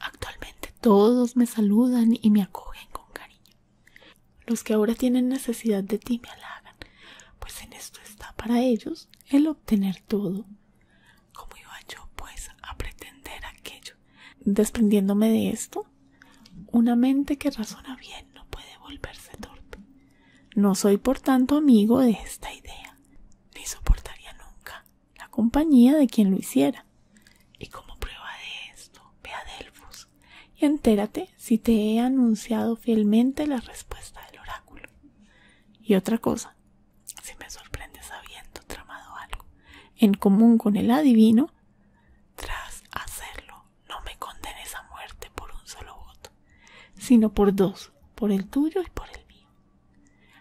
A: Actualmente todos me saludan y me acogen con cariño. Los que ahora tienen necesidad de ti me halagan, pues en esto está para ellos el obtener todo. ¿Cómo iba yo, pues, a pretender aquello? Desprendiéndome de esto, una mente que razona bien no puede volverse torpe. No soy, por tanto, amigo de esta idea, ni soportaría nunca la compañía de quien lo hiciera. Y como prueba de esto, ve a Delfos y entérate si te he anunciado fielmente la respuesta del oráculo. Y otra cosa, si me sorprendes habiendo tramado algo en común con el adivino, tras hacerlo no me condenes a muerte por un solo voto, sino por dos, por el tuyo y por el mío.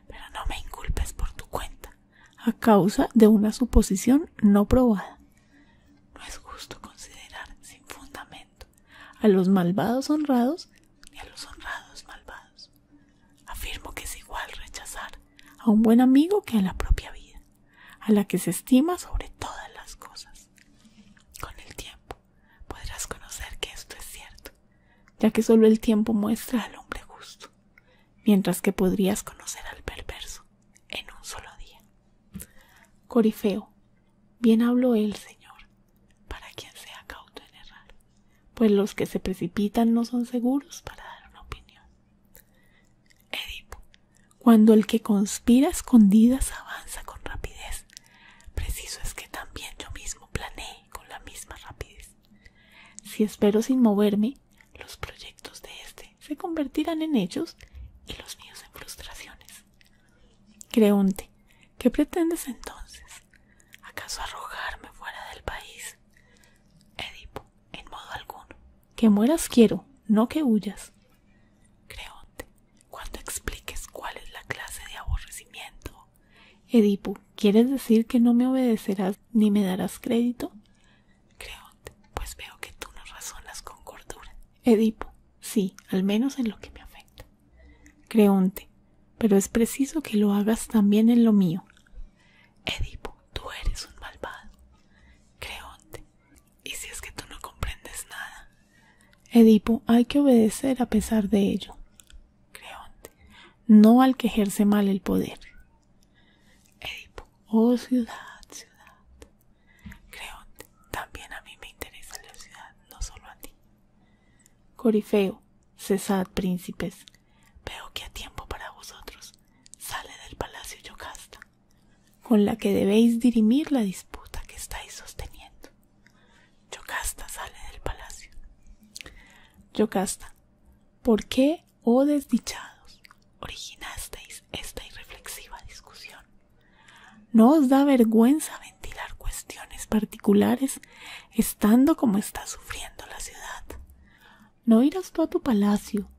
A: Pero no me inculpes por tu cuenta, a causa de una suposición no probada. No es justo considerar sin fundamento a los malvados honrados ni a los honrados malvados. Afirmo que es igual rechazar a un buen amigo que a la propia vida, a la que se estima sobre todas las cosas. Con el tiempo podrás conocer que esto es cierto, ya que solo el tiempo muestra al hombre justo mientras que podrías conocer al perverso en un solo día. Corifeo, bien habló el Señor, para quien sea cauto en errar, pues los que se precipitan no son seguros para dar una opinión. Edipo, cuando el que conspira escondidas avanza con rapidez, preciso es que también yo mismo planee con la misma rapidez. Si espero sin moverme, los proyectos de éste se convertirán en hechos y los míos en frustraciones. Creonte, ¿qué pretendes entonces? ¿Acaso arrojarme fuera del país? Edipo, en modo alguno. Que mueras quiero, no que huyas. Creonte, cuando expliques cuál es la clase de aborrecimiento. Edipo, ¿Quieres decir que no me obedecerás ni me darás crédito? Creonte, pues veo que tú no razonas con cordura. Edipo, sí, al menos en lo que me afecta. Creonte, pero es preciso que lo hagas también en lo mío. Edipo, tú eres un malvado. Creonte, ¿y si es que tú no comprendes nada? Edipo, hay que obedecer a pesar de ello. Creonte, no al que ejerce mal el poder. Edipo, oh ciudad, ciudad. creonte, también a mí me interesa la ciudad, no solo a ti. Corifeo, cesad, príncipes. Veo que a tiempo para vosotros sale del palacio Yocasta, con la que debéis dirimir la disputa que estáis sosteniendo. Yocasta sale del palacio. Yocasta, ¿por qué oh desdichados, originasteis esta irreflexiva discusión. ¿No os da vergüenza ventilar cuestiones particulares estando como está sufriendo la ciudad? ¿No irás tú a tu palacio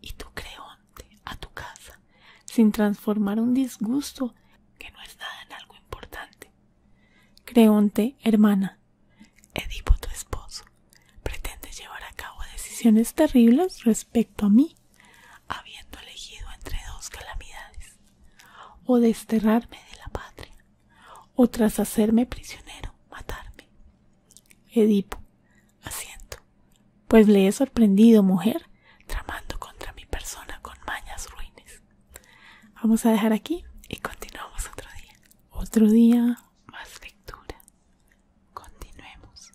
A: y tu creonte a tu casa sin transformar un disgusto que no es nada en algo importante? Creonte, hermana, Edipo tu esposo pretende llevar a cabo decisiones terribles respecto a mí, habiendo elegido entre dos calamidades, o desterrarme de la patria, o tras hacerme prisionero, matarme. Edipo, asiento, pues le he sorprendido, mujer, tramando contra mi persona con mañas ruines. Vamos a dejar aquí y continuamos otro día. Otro día más lectura. Continuemos.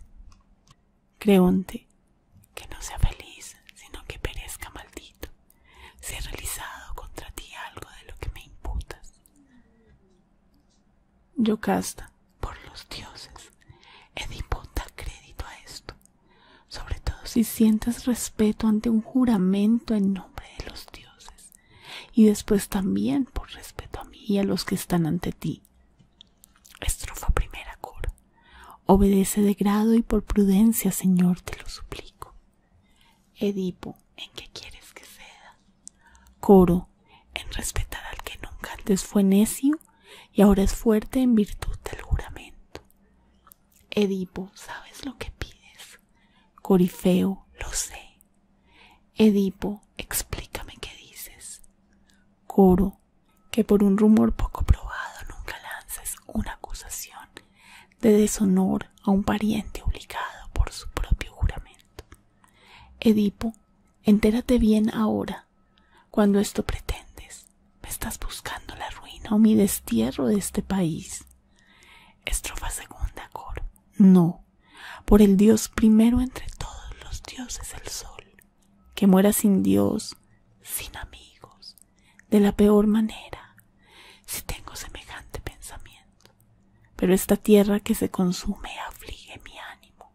A: Creonte, que no sea feliz, sino que perezca maldito, si he realizado contra ti algo de lo que me imputas. yo casta por los dioses, Edipo da crédito a esto, sobre todo si sientes respeto ante un juramento en nombre de los dioses y después también por respeto a mí y a los que están ante ti. Estrofa primera coro, Obedece de grado y por prudencia, Señor, te lo suplico. Edipo, ¿en qué quieres que ceda? Coro, en respetar al que nunca antes fue necio y ahora es fuerte en virtud del juramento. Edipo, ¿sabes lo que pides? Corifeo, lo sé. Edipo, explícame qué dices. Coro, que por un rumor poco probado nunca lances una acusación de deshonor a un pariente obligado por su propio juramento. Edipo, entérate bien ahora. Cuando esto pretendes, me estás buscando la ruina o mi destierro de este país. Estrofa segunda, Coro. No, por el Dios primero entre todos los dioses, el Sol, que muera sin Dios, sin amigos, de la peor manera, si tengo semejante pensamiento. Pero esta tierra que se consume aflige mi ánimo,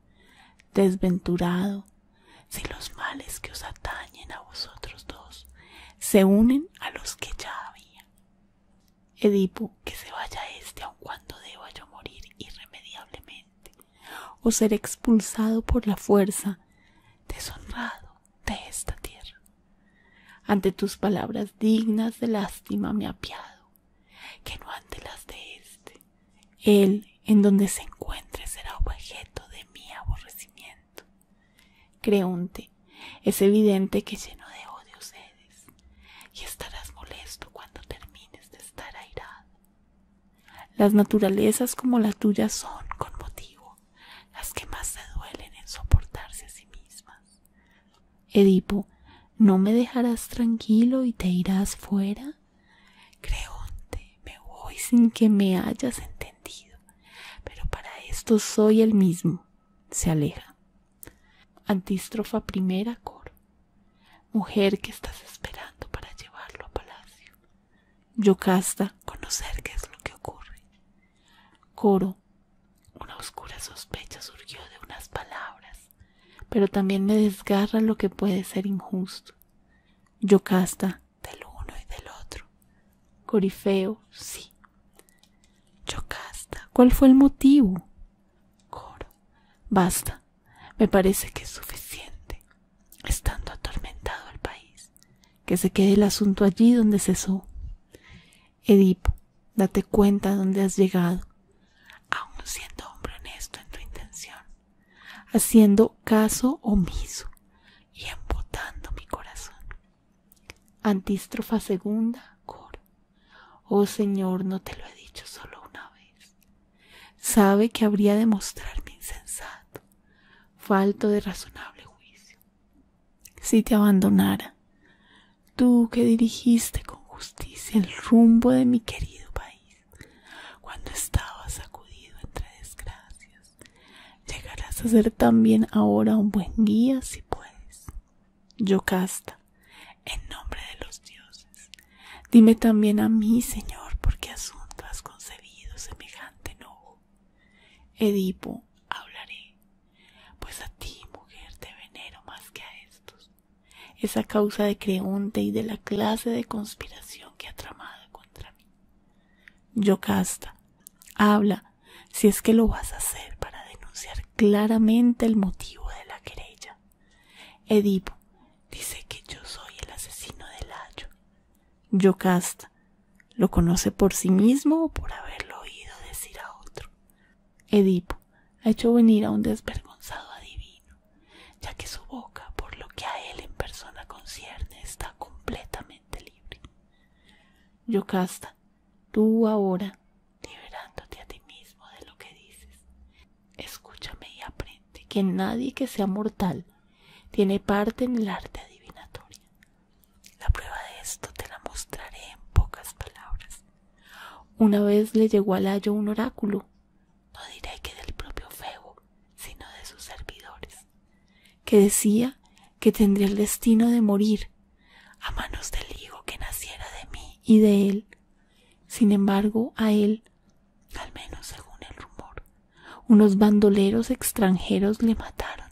A: desventurado, si los males que os atañen a vosotros dos se unen a los que ya había. Edipo, que se vaya éste aun cuando deba yo morir irremediablemente, o ser expulsado por la fuerza, deshonrado de esta tierra. Ante tus palabras dignas de lástima me apiado, que no ante las de éste. Él, en donde se encuentre, será objeto de mi aborrecimiento. Creonte, es evidente que lleno de odios y estarás molesto cuando termines de estar airado. Las naturalezas como la tuya son, con motivo, las que más se duelen en soportarse a sí mismas. Edipo, ¿no me dejarás tranquilo y te irás fuera? Creonte, me voy sin que me hayas entendido, pero para esto soy el mismo. Se aleja. Antístrofa primera, coro. Mujer que estás esperando para llevarlo a palacio. Yocasta, conocer qué es lo que ocurre. Coro. Una oscura sospecha surgió de unas palabras, pero también me desgarra lo que puede ser injusto. Yocasta, del uno y del otro. Corifeo, sí. Yocasta, ¿cuál fue el motivo? Coro. Basta. Me parece que es suficiente. Estando atormentado el país. Que se quede el asunto allí donde cesó. Edipo, date cuenta donde has llegado, aun siendo hombre honesto en tu intención, haciendo caso omiso y embotando mi corazón. Antístrofa segunda, coro. Oh Señor, no te lo he dicho solo una vez. Sabe que habría de mostrarme insensato, falto de razonable juicio. Si te abandonara, tú que dirigiste con justicia el rumbo de mi querido país, cuando estabas sacudido entre desgracias, llegarás a ser también ahora un buen guía si puedes. Yocasta, en nombre de los dioses, dime también a mí, Señor, por qué asunto has concebido semejante enojo. Edipo, hablaré, pues a ti, mujer, te venero más que a estos. esa causa de Creonte y de la clase de conspiración que ha tramado contra mí. Yocasta, habla, si es que lo vas a hacer para denunciar claramente el motivo de la querella. Edipo dice que yo soy el asesino de Layo. Yocasta lo conoce por sí mismo o por haberlo oído decir a otro. Edipo ha hecho venir a un desvergonzado adivino, ya que su boca, por lo que a él en persona concierne, está completamente libre. Yocasta, tú ahora liberándote a ti mismo de lo que dices. Escúchame y aprende que nadie que sea mortal tiene parte en el arte adivinatoria. La prueba de esto te la mostraré en pocas palabras. Una vez le llegó al ayo un oráculo, no diré que del propio Febo, sino de sus servidores, que decía que tendría el destino de morir a manos del hijo que naciera de mí y de él sin embargo, a él, al menos según el rumor, unos bandoleros extranjeros le mataron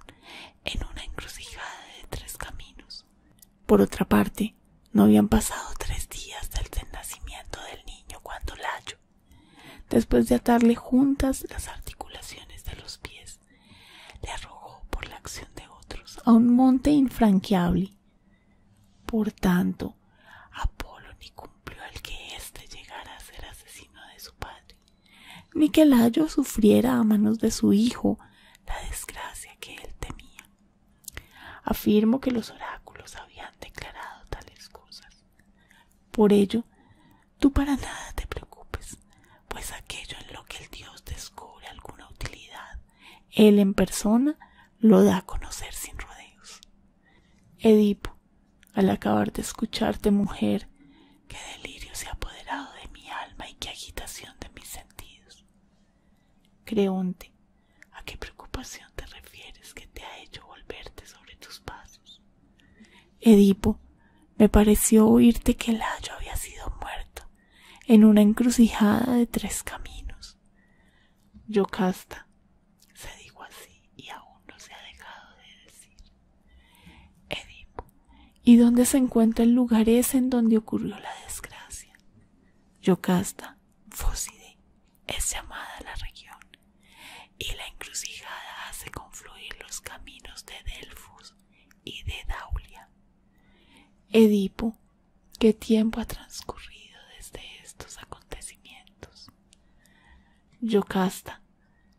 A: en una encrucijada de tres caminos. Por otra parte, no habían pasado tres días desde del nacimiento del niño cuando Layo, después de atarle juntas las articulaciones de los pies, le arrojó por la acción de otros a un monte infranqueable por tanto, Apolo ni cumplió el que éste llegara a ser asesino de su padre, ni que Layo sufriera a manos de su hijo la desgracia que él temía. Afirmo que los oráculos habían declarado tales cosas. Por ello, tú para nada te preocupes, pues aquello en lo que el Dios descubre alguna utilidad él en persona lo da a conocer sin rodeos. Edipo, al acabar de escucharte, mujer, qué delirio se ha apoderado de mi alma y qué agitación de mis sentidos. Creonte, ¿a qué preocupación te refieres que te ha hecho volverte sobre tus pasos? Edipo, me pareció oírte que el había sido muerto en una encrucijada de tres caminos. Yocasta, se dijo así y aún no se ha dejado de decir. Edipo, ¿y dónde se encuentra el lugar ese en donde ocurrió la desgracia? Yocasta, Fóside, es llamada la región, y la encrucijada hace confluir los caminos de Delfos y de Daulia. Edipo, ¿Qué tiempo ha transcurrido desde estos acontecimientos? Yocasta,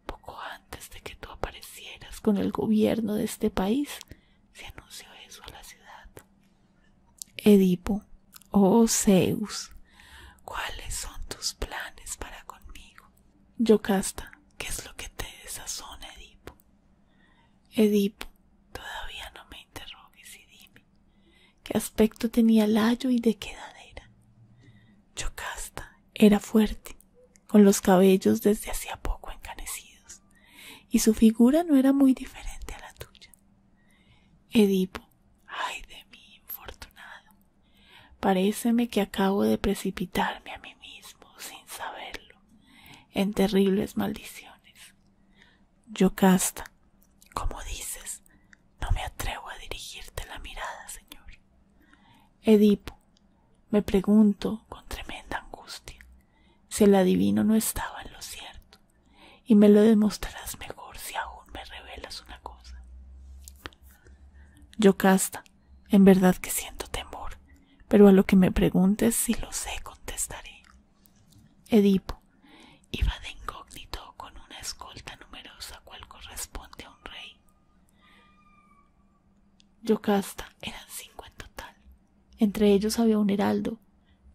A: poco antes de que tú aparecieras con el gobierno de este país, se anunció eso a la ciudad. Edipo, oh Zeus, ¿cuáles son tus planes para conmigo? Yocasta, ¿qué es lo que te desazona, Edipo? Edipo, todavía no me interrogues y dime, qué aspecto tenía layo y de qué edad era. Yocasta era fuerte, con los cabellos desde hacía poco encanecidos, y su figura no era muy diferente a la tuya. Edipo, ay de mí, infortunado, paréceme que acabo de precipitarme a mí mismo sin saberlo en terribles maldiciones. Yocasta, como dices, no me atrevo a dirigirte la mirada, señor. Edipo, me pregunto con tremenda angustia si el adivino no estaba en lo cierto, y me lo demostrarás mejor si aún me revelas una cosa. Yocasta, en verdad que siento temor, pero a lo que me preguntes si lo sé contestaré. Edipo iba de incógnito con una escolta numerosa cual corresponde a un rey. Yocasta eran cinco en total. Entre ellos había un heraldo.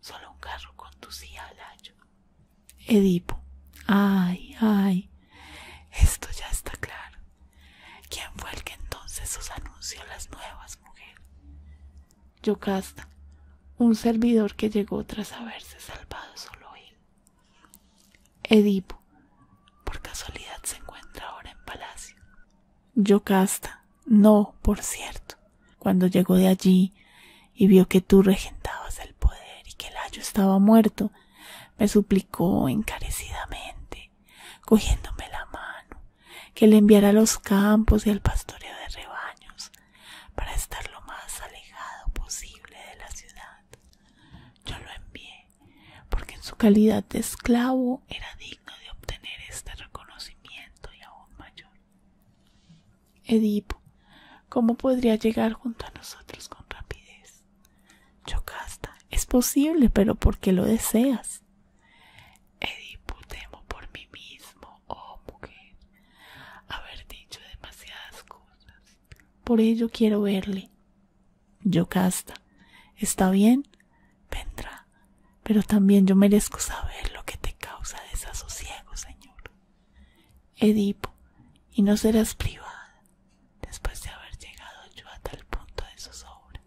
A: Solo un carro conducía al layo Edipo. Ay, ay. Esto ya está claro. ¿Quién fue el que entonces os anunció las nuevas, mujeres Yocasta, un servidor que llegó tras haberse salvado solo él. Edipo, por casualidad se encuentra ahora en palacio. Yocasta, no, por cierto, cuando llegó de allí y vio que tú regentabas el poder y que el ayo estaba muerto, me suplicó encarecidamente, cogiéndome la mano, que le enviara a los campos y al pastoreo de rebaños, para estar lo más alejado posible de la ciudad. Yo lo envié porque en su calidad de esclavo era digno de obtener este reconocimiento y aún mayor. Edipo, ¿cómo podría llegar junto a nosotros con rapidez? Yocasta, es posible, pero ¿por qué lo deseas? Edipo, temo por mí mismo, oh mujer, haber dicho demasiadas cosas. Por ello quiero verle. Yocasta, ¿está bien? Vendrá, pero también yo merezco saber lo que te causa desasosiego, señor. Edipo, y no serás privada después de haber llegado yo a tal punto de zozobra.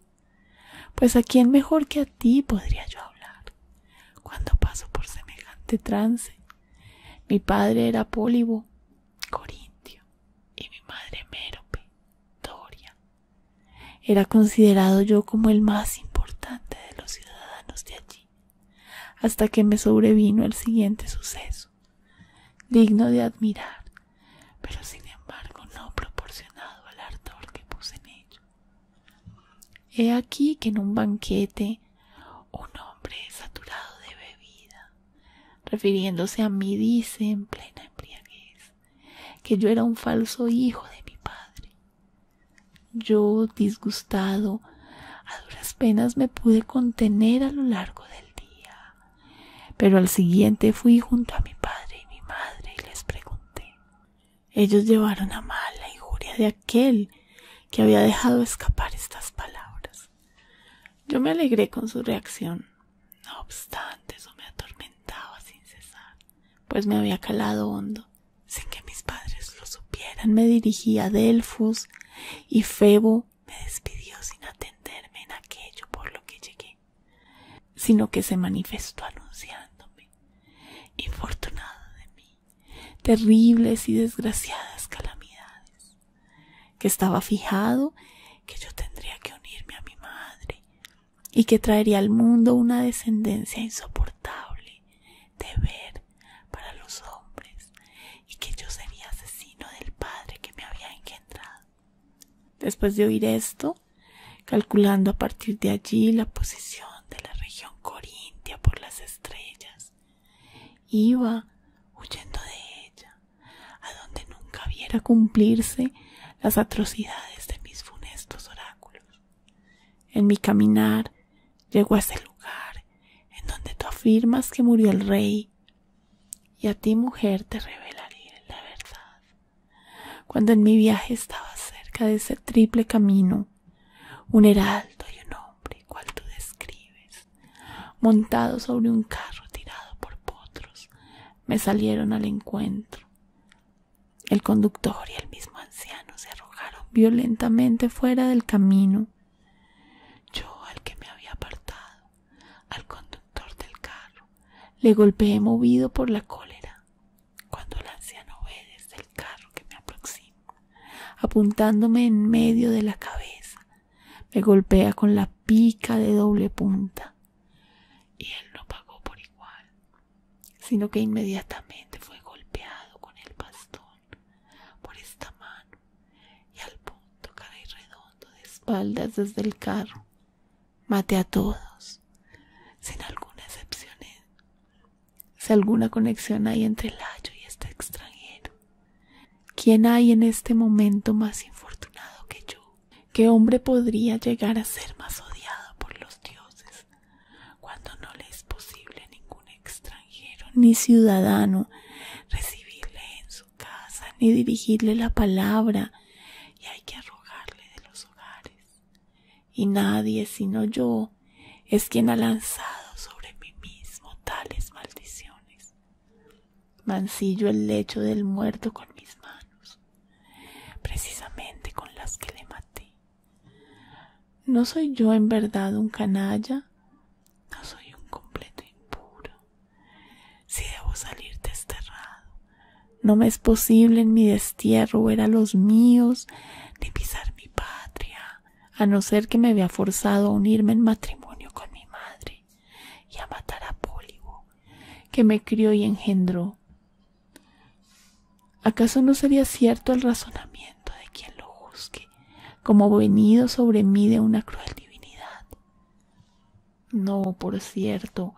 A: Pues a quién mejor que a ti podría yo hablar. Cuando paso por semejante trance, mi padre era Pólibo, Corintio, y mi madre Mérope, Doria. Era considerado yo como el más importante de los ciudadanos de allí, hasta que me sobrevino el siguiente suceso, digno de admirar, pero sin embargo no proporcionado al ardor que puse en ello. He aquí que en un banquete un hombre saturado de bebida, refiriéndose a mí, dice en plena embriaguez que yo era un falso hijo de mi padre. Yo, disgustado, a duras penas me pude contener a lo largo del día, pero al siguiente fui junto a mi padre y mi madre y les pregunté ellos llevaron a mal la injuria de aquel que había dejado escapar estas palabras. Yo me alegré con su reacción, no obstante eso me atormentaba sin cesar, pues me había calado hondo, sin que mis padres lo supieran. Me dirigí a Delfos y Febo me despidió sin atenderme en aquello por lo que llegué, sino que se manifestó anunciándome, infortunado de mí, terribles y desgraciadas calamidades, que estaba fijado que yo tendría que unirme a mi madre y que traería al mundo una descendencia insoportable de ver para los hombres y que yo sería asesino del padre que me había engendrado. Después de oír esto, calculando a partir de allí la posición de la región corintia por las estrellas, Iba huyendo de ella, a donde nunca viera cumplirse las atrocidades de mis funestos oráculos. En mi caminar llego a ese lugar en donde tú afirmas que murió el rey, y a ti, mujer, te revelaré la verdad. Cuando en mi viaje estaba cerca de ese triple camino, un heraldo y un hombre cual tú describes, montado sobre un carro tirado por potros, me salieron al encuentro. El conductor y el mismo anciano se arrojaron violentamente fuera del camino. Yo, al que me había apartado, al conductor del carro, le golpeé movido por la cólera. Cuando el anciano ve desde el carro que me aproxima, apuntándome en medio de la cabeza. Me golpea con la pica de doble punta. Y él no pagó por igual, sino que inmediatamente fue golpeado con el bastón por esta mano y al punto caí redondo de espaldas desde el carro. Maté a todos, sin alguna excepción si alguna conexión hay entre el y este extranjero. ¿Quién hay en este momento más infortunado que yo? ¿Qué hombre podría llegar a ser más odiado por los dioses cuando no le es posible a ningún extranjero ni ciudadano recibirle en su casa ni dirigirle la palabra y hay que rogarle de los hogares? Y nadie sino yo es quien ha lanzado sobre mí mismo tales maldiciones. Mancillo el lecho del muerto con mis manos, precisamente con las que le maté. ¿No soy yo en verdad un canalla? No soy un completo impuro. Si debo salir desterrado, no me es posible en mi destierro ver a los míos ni pisar mi patria a no ser que me vea forzado a unirme en matrimonio con mi madre y a matar a Pólivo, que me crió y engendró. ¿Acaso no sería cierto el razonamiento de quien lo juzgue, como venido sobre mí de una cruel divinidad? No, por cierto,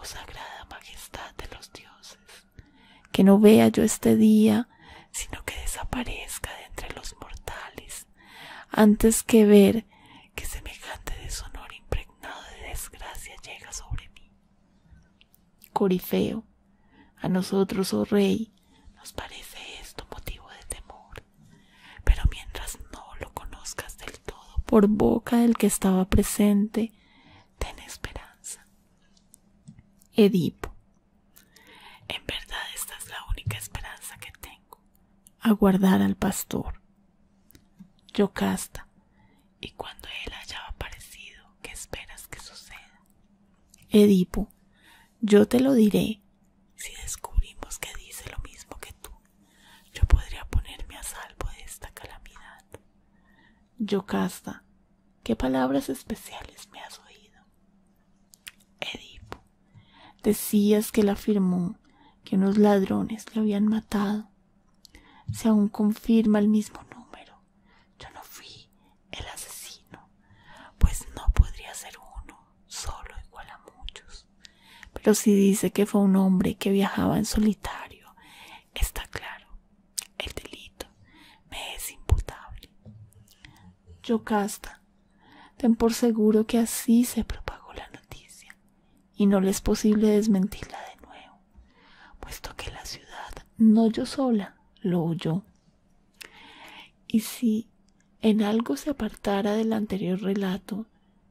A: oh sagrada majestad de los dioses, que no vea yo este día sino que desaparezca de entre los mortales, antes que ver que semejante deshonor impregnado de desgracia llega sobre mí. Corifeo, a nosotros, oh rey, nos parece esto motivo de temor, pero mientras no lo conozcas del todo por boca del que estaba presente, ten esperanza. Edipo, en verdad esta es la única esperanza que tengo, aguardar al pastor. Yocasta, y cuando él haya aparecido, ¿qué esperas que suceda? Edipo, yo te lo diré. Si descubrimos que dice lo mismo que tú, yo podría ponerme a salvo de esta calamidad. Yocasta, ¿qué palabras especiales me has oído? edipo decías que él afirmó que unos ladrones le habían matado si aún confirma el mismo número yo no fui el asesino pues no podría ser uno solo igual a muchos pero si dice que fue un hombre que viajaba en solitario está claro el delito me es imputable Yocasta. Ten por seguro que así se propagó la noticia, y no le es posible desmentirla de nuevo, puesto que la ciudad, no yo sola, lo oyó. Y si en algo se apartara del anterior relato,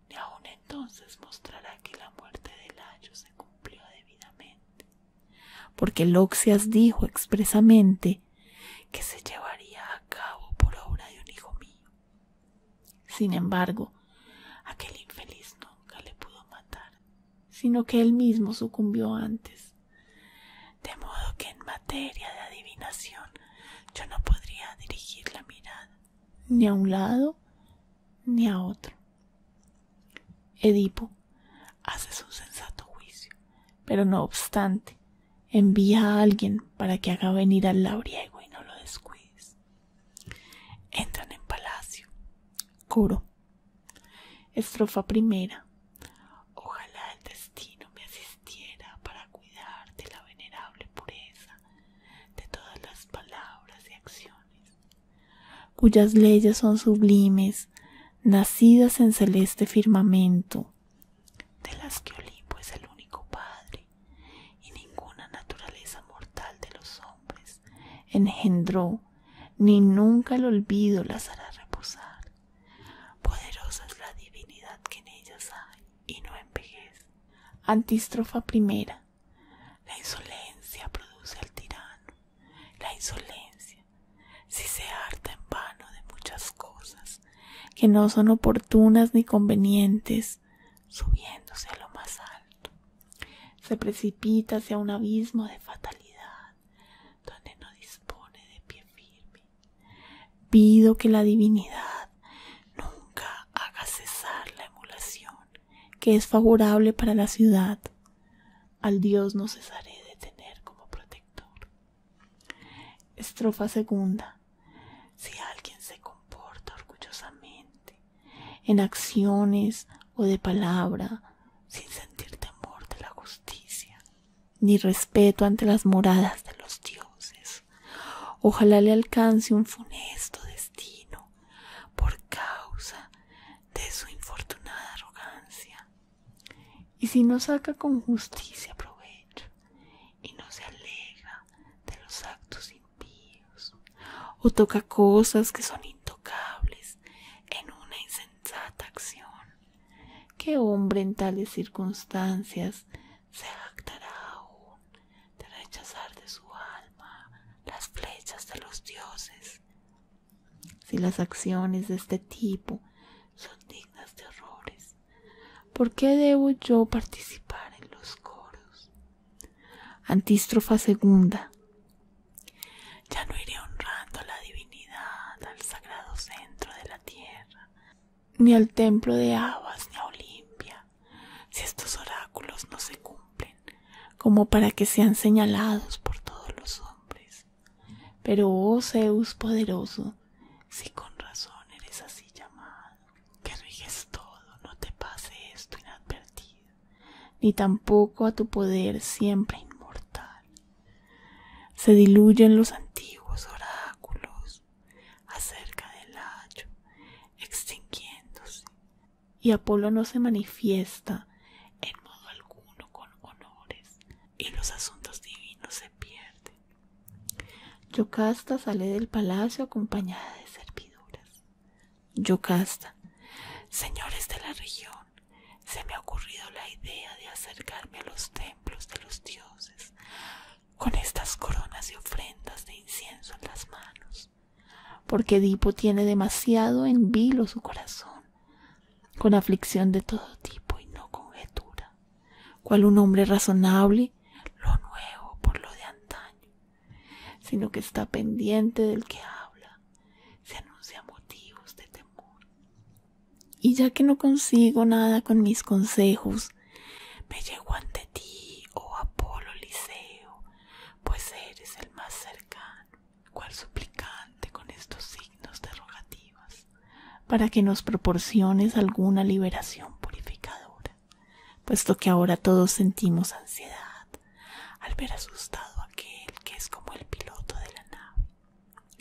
A: ni aun entonces mostrará que la muerte de Layo se cumplió debidamente, porque Loxias dijo expresamente que se llevaría a cabo por obra de un hijo mío. Sin embargo, aquel infeliz nunca le pudo matar, sino que él mismo sucumbió antes. De modo que en materia de adivinación yo no podría dirigir la mirada ni a un lado ni a otro. Edipo hace su sensato juicio, pero no obstante Envía a alguien para que haga venir al labriego y no lo descuides. Entran en palacio. Coro. Estrofa primera. Ojalá el destino me asistiera para cuidar de la venerable pureza de todas las palabras y acciones, cuyas leyes son sublimes, nacidas en celeste firmamento, de las que Olimpo es el único padre, y ninguna naturaleza mortal de los hombres engendró, ni nunca el olvido las hará reposar. Poderosa es la divinidad que en ellas hay, y no envejece. Antístrofa primera. La insolencia produce al tirano. La insolencia si se harta en vano de muchas cosas que no son oportunas ni convenientes, subiéndose a lo más alto, se precipita hacia un abismo de fatalidad, donde no dispone de pie firme. Pido que la divinidad nunca haga cesar la emulación que es favorable para la ciudad. Al Dios no cesaré de tener como protector, Estrofa segunda. Si alguien se comporta orgullosamente en acciones o de palabra, sin sentir temor de la justicia, ni respeto ante las moradas de los dioses, ojalá le alcance un funesto destino por causa de su infortunada arrogancia. Y si no saca con justicia provecho y no se alegra de los actos impíos, o toca cosas que son intocables en una insensata acción, ¿qué hombre en tales circunstancias se jactará aún de rechazar de su alma las flechas de los dioses? Si las acciones de este tipo son dignas de horrores, ¿Por qué debo yo participar en los coros? Antístrofa segunda. Ya no iré honrando a la divinidad al sagrado centro de la tierra, ni al templo de Abas ni a Olimpia, si estos oráculos no se cumplen, como para que sean señalados por todos los hombres. Pero oh Zeus poderoso, si con razón eres así llamado, que riges todo, no te pase esto inadvertido, ni tampoco a tu poder siempre inmortal. Se diluyen los antiguos oráculos acerca del hacho extinguiéndose, y Apolo no se manifiesta en modo alguno con honores, y los asuntos divinos se pierden Yocasta sale del palacio acompañada de serviduras. Yocasta, señores de la región, se me ha ocurrido la idea de acercarme a los templos de los dioses con estas coronas y ofrendas de incienso en las manos, porque Edipo tiene demasiado en vilo su corazón, con aflicción de todo tipo y no conjetura cual un hombre razonable, lo nuevo por lo de antaño, sino que está pendiente del que habla, se anuncia motivos de temor. Y ya que no consigo nada con mis consejos, me llego ante ti, oh Apolo Liceo, pues eres el más cercano, cual suplicante con estos signos derogativos para que nos proporciones alguna liberación purificadora, puesto que ahora todos sentimos ansiedad al ver asustado a aquel que es como el piloto de la nave.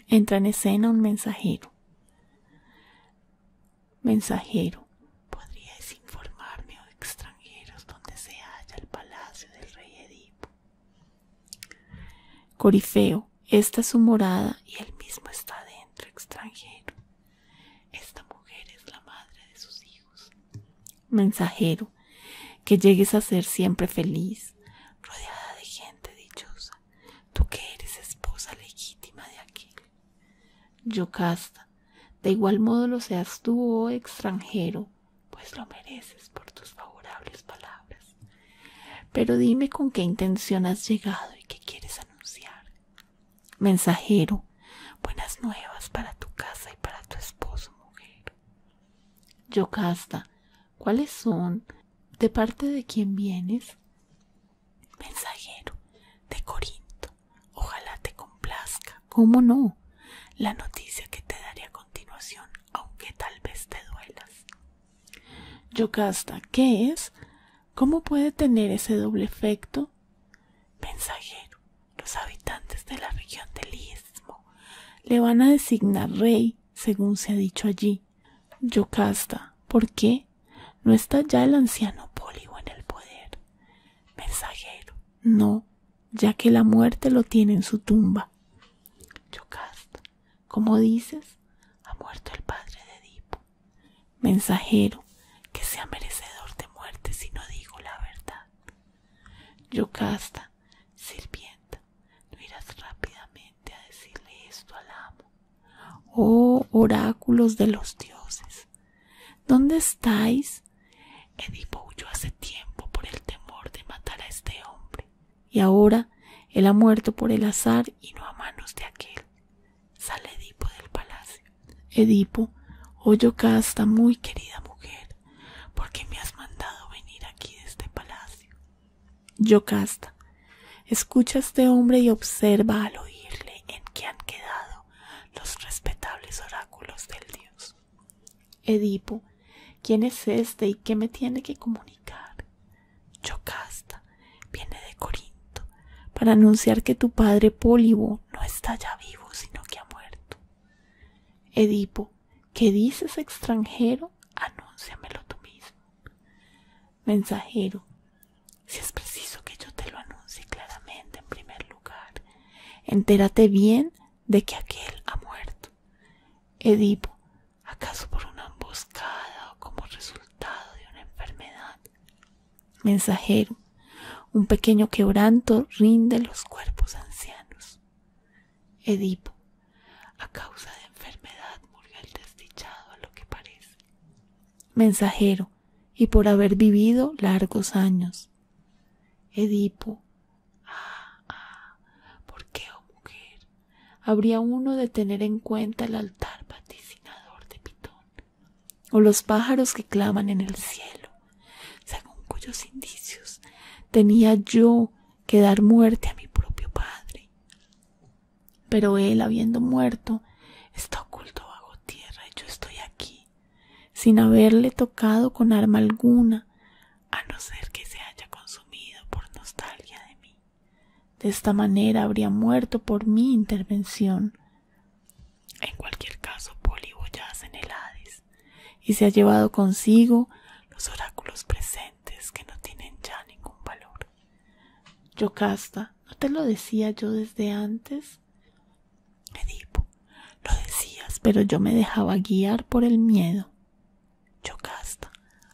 A: Entra en escena un mensajero. Mensajero, ¿podríais informarme o oh extranjeros dónde se halla el palacio del rey Edipo? Corifeo, esta es su morada y él mismo está dentro, extranjero. Esta mujer es la madre de sus hijos. Mensajero, que llegues a ser siempre feliz, rodeada de gente dichosa, tú que eres esposa legítima de aquel. Yocasta, de igual modo lo seas tú, oh extranjero, pues lo mereces por tus favorables palabras. Pero dime con qué intención has llegado y qué quieres anunciar. Mensajero, buenas nuevas para tu casa y para tu esposo, mujer. Yocasta, ¿cuáles son? ¿De parte de quién vienes? Mensajero, de Corinto. Ojalá te complazca. ¿Cómo no? La noticia que te daré a continuación, aunque tal vez te duelas. Yocasta, ¿qué es? ¿Cómo puede tener ese doble efecto? Mensajero, los habitantes de la región del Istmo le van a designar rey, según se ha dicho allí. Yocasta, ¿por qué? ¿No está ya el anciano Pólibo en el poder? Mensajero, no, ya que la muerte lo tiene en su tumba. Yocasta, ¿cómo dices, ha muerto el padre de Edipo mensajero que sea merecedor de muerte si no digo la verdad. Yocasta, sirvienta, no irás rápidamente a decirle esto al amo. Oh oráculos de los dioses, ¿dónde estáis? Edipo huyó hace tiempo por el temor de matar a este hombre, y ahora él ha muerto por el azar y no a manos de aquel sale Edipo del palacio. Edipo, oh Yocasta, muy querida mujer, porque me has mandado venir aquí de este palacio? Yocasta, escucha a este hombre y observa al oírle en qué han quedado los respetables oráculos del dios. Edipo, ¿quién es éste y qué me tiene que comunicar? Yocasta viene de Corinto para anunciar que tu padre Pólibo no está ya vivo, sino que ha muerto. Edipo, ¿qué dices extranjero? Anúnciamelo tú mismo. Mensajero, si es preciso que yo te lo anuncie claramente en primer lugar, entérate bien de que aquel ha muerto. Edipo, ¿acaso por una emboscada o como resultado de una enfermedad? Mensajero, un pequeño quebranto rinde los cuerpos ancianos. Edipo, a causa de enfermedad murió el desdichado a lo que parece. Mensajero, y por haber vivido largos años. Edipo, ah, ah, ¿por qué, oh mujer, habría uno de tener en cuenta el altar vaticinador de o los pájaros que claman en el cielo, según cuyos indicios tenía yo que dar muerte a mi propio padre. Pero él, habiendo muerto, está oculto bajo tierra y yo estoy aquí, sin haberle tocado con arma alguna, a no ser que se haya consumido por nostalgia de mí. De esta manera habría muerto por mi intervención. En cualquier caso, Pólibo ya en el Hades y se ha llevado consigo los oráculos presentes que no tienen ya ningún valor. Yocasta, ¿no te lo decía yo desde antes? Edipo, lo decías, pero yo me dejaba guiar por el miedo. Yocasta,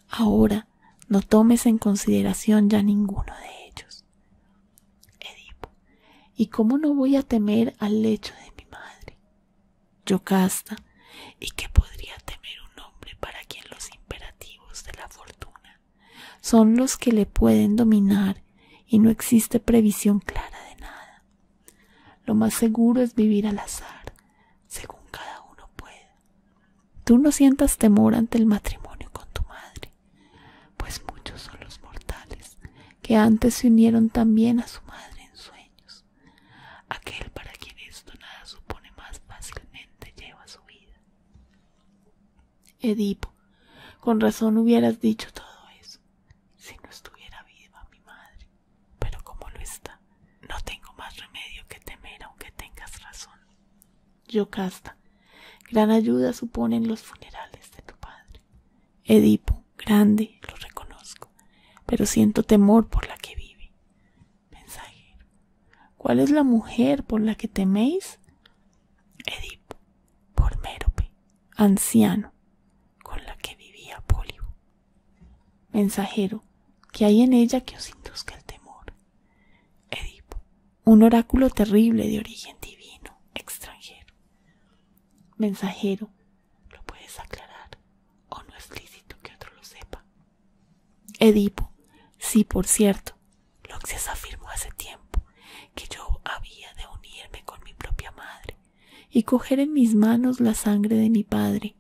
A: ahora no tomes en consideración ya ninguno de ellos. Edipo, ¿y cómo no voy a temer al lecho de mi madre? Yocasta, ¿y qué podría temer un hombre para quien los imperativos de la fortuna son los que le pueden dominar y no existe previsión clara de nada? Lo más seguro es vivir al azar, según cada uno pueda. Tú no sientas temor ante el matrimonio con tu madre pues muchos son los mortales que antes se unieron también a su madre en sueños. Aquel para quien esto nada supone más fácilmente lleva su vida. Edipo, con razón hubieras dicho todo eso, si no estuviera viva mi madre, pero como lo está, no tengo más remedio que temer aunque tengas razón. Yocasta, gran ayuda suponen los funerales de tu padre. Edipo, grande, lo reconozco, pero siento temor por la que vive. Mensajero, ¿cuál es la mujer por la que teméis? Edipo, por Mérope, anciano, con la que vivía Pólibo. Mensajero, ¿qué hay en ella que os induzca el temor? Edipo, un oráculo terrible de origen divino, extranjero. Mensajero, lo puedes aclarar, o no es lícito que otro lo sepa. Edipo, sí, por cierto, Loxias afirmó hace tiempo que yo había de unirme con mi propia madre y coger en mis manos la sangre de mi padre.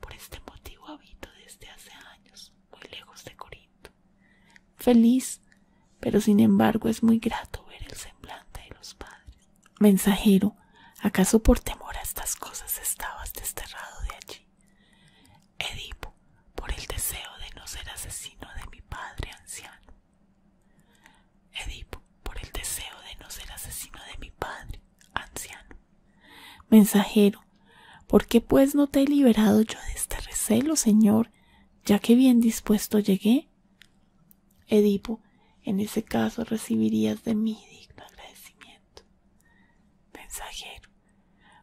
A: Por este motivo habito desde hace años muy lejos de Corinto Feliz, pero sin embargo es muy grato ver el semblante de los padres. Mensajero, ¿acaso por temor a estas cosas estabas desterrado de allí? Edipo, por el deseo de no ser asesino de mi padre anciano. Edipo, por el deseo de no ser asesino de mi padre anciano. Mensajero, ¿por qué pues no te he liberado yo de este recelo, señor, ya que bien dispuesto llegué edipo en ese caso recibirías de mí digno agradecimiento mensajero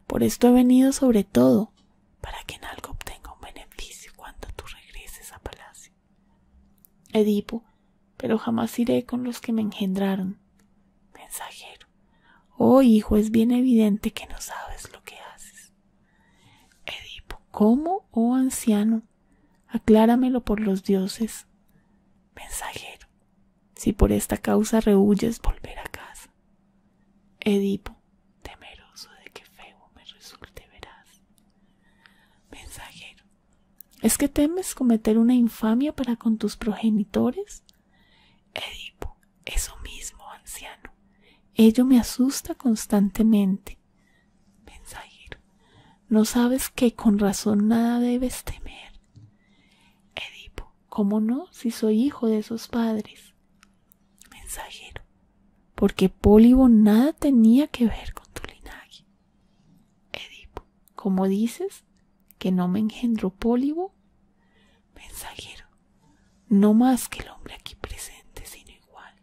A: por esto he venido sobre todo para que en algo obtenga un beneficio cuando tú regreses a palacio edipo pero jamás iré con los que me engendraron mensajero oh hijo es bien evidente que no sabes lo que haces Edipo, ¿cómo, oh anciano? Acláramelo por los dioses. Mensajero, si por esta causa rehuyes volver a casa. Edipo, temeroso de que feo me resulte veraz. Mensajero, ¿es que temes cometer una infamia para con tus progenitores? Eso mismo, anciano. Ello me asusta constantemente. Mensajero, no sabes que con razón nada debes temer. Edipo, ¿cómo no si soy hijo de esos padres? Mensajero, porque Pólibo nada tenía que ver con tu linaje. Edipo, ¿cómo dices que no me engendró Pólibo? mensajero, no más que el hombre aquí presente, sino igual.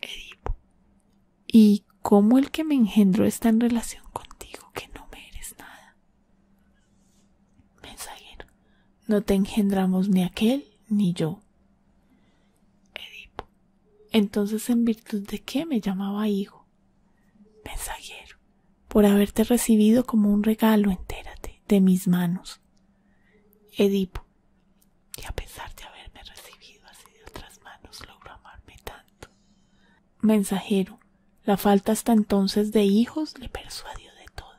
A: Edipo, ¿y cómo el que me engendró está en relación contigo que no me eres nada? Mensajero, no te engendramos ni aquel ni yo. Edipo, entonces en virtud de qué me llamaba hijo? Mensajero, por haberte recibido como un regalo, entérate, de mis manos. Edipo, y a pesar de haberme recibido así de otras manos, logró amarme tanto. Mensajero, la falta hasta entonces de hijos le persuadió de todo.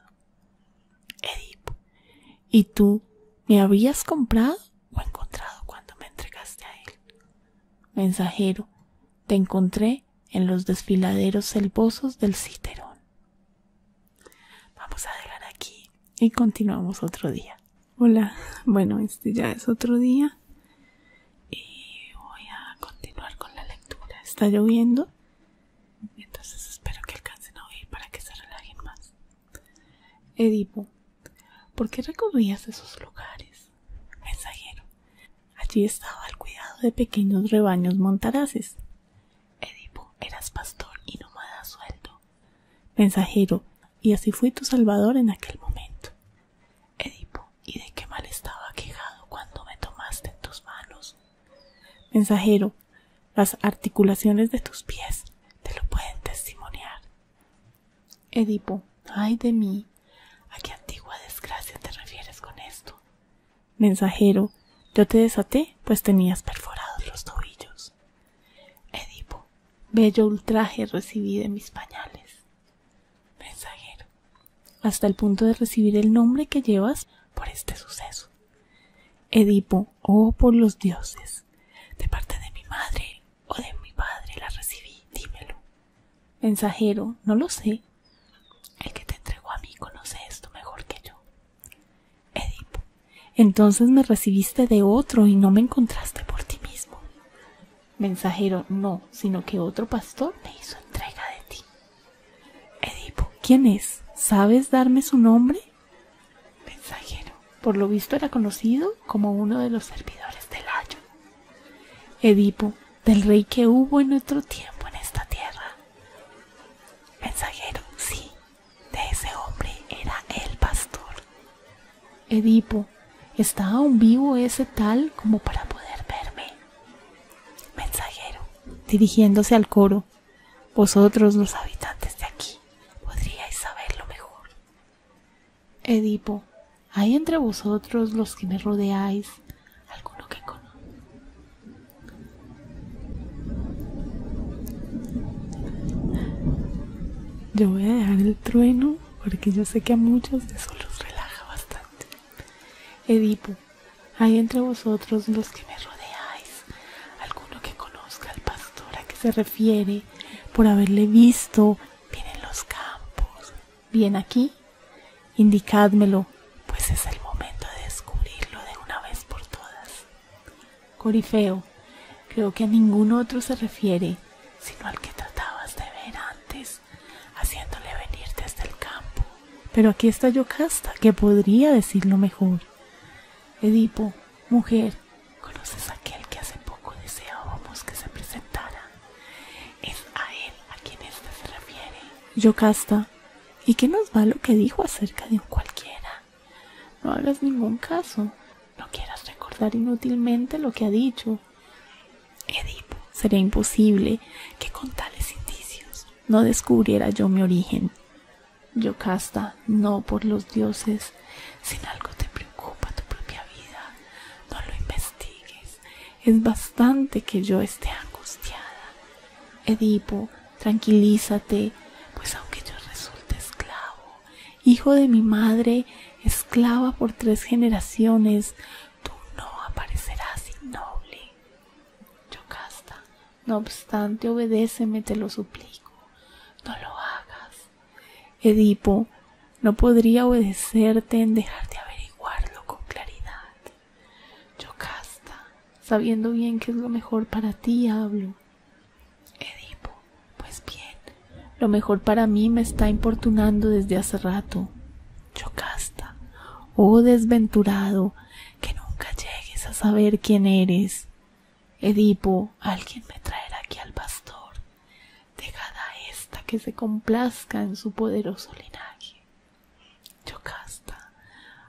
A: Edipo, ¿y tú me habías comprado o encontrado cuando me entregaste a él? Mensajero, te encontré en los desfiladeros selvosos del Citerón. Vamos a dejar aquí y continuamos otro día. Hola, bueno, este ya es otro día y voy a continuar con la lectura. Está lloviendo, entonces espero que alcancen a oír para que se relajen más. Edipo, ¿por qué recorrías esos lugares? Mensajero, allí estaba al cuidado de pequeños rebaños montaraces Edipo, eras pastor y nomada sueldo. Mensajero, y así fui tu salvador en aquel momento. Edipo, ¿y de qué mal estaba quejado cuando me tomaste en tus manos? Mensajero, las articulaciones de tus pies te lo pueden testimoniar. Edipo, ay de mí, ¿a qué antigua desgracia te refieres con esto? Mensajero, yo te desaté, pues tenías perforados los tobillos. Edipo, bello ultraje recibí de mis pañales. Mensajero, hasta el punto de recibir el nombre que llevas por este suceso. Edipo, oh por los dioses, de parte de mi madre o de mi padre la recibí, dímelo. Mensajero, no lo sé. El que te entregó a mí conoce esto mejor que yo. Edipo, entonces me recibiste de otro y no me encontraste por ti mismo. Mensajero, no, sino que otro pastor me hizo entrega de ti. Edipo, ¿quién es? ¿Sabes darme su nombre? Mensajero, por lo visto era conocido como uno de los servidores del Ayo. Edipo, del rey que hubo en otro tiempo en esta tierra. Mensajero, sí, de ese hombre era el pastor. Edipo, ¿está aún vivo ese tal como para poder verme? Mensajero, dirigiéndose al coro, vosotros los habitantes de aquí podríais saberlo mejor. Edipo, ¿hay entre vosotros los que me rodeáis alguno que, conozco. Yo voy a dejar el trueno porque yo sé que a muchos de eso los relaja bastante. Edipo, hay entre vosotros los que me rodeáis alguno que conozca al pastor a que se refiere por haberle visto viene en los campos, bien aquí. Indicádmelo, pues es el momento de descubrirlo de una vez por todas. Corifeo, creo que a ningún otro se refiere, sino al que tratabas de ver antes, haciéndole venir desde el campo. Pero aquí está Yocasta, que podría decirlo mejor. Edipo, mujer, ¿conoces a aquel que hace poco deseábamos que se presentara? Es a él a quien éste se refiere. Yocasta, ¿y qué nos va lo que dijo acerca de un cualquiera? No hagas ningún caso. No quieras recordar inútilmente lo que ha dicho. Edipo, sería imposible que con tales indicios no descubriera yo mi origen. Yocasta, no por los dioses. Sin algo te preocupa tu propia vida, no lo investigues. Es bastante que yo esté angustiada. Edipo, tranquilízate, pues aunque yo resulte esclavo, hijo de mi madre, esclava por tres generaciones, tú no aparecerás innoble. Yocasta, no obstante, obedéceme, te lo suplico, no lo hagas. Edipo, no podría obedecerte en dejarte averiguarlo con claridad. Yocasta, sabiendo bien que es lo mejor para ti, hablo. Edipo, pues bien, lo mejor para mí me está importunando desde hace rato. Yocasta, oh desventurado, que nunca llegues a saber quién eres. Edipo, alguien me traerá aquí al pastor. dejada esta que se complazca en su poderoso linaje. Yocasta,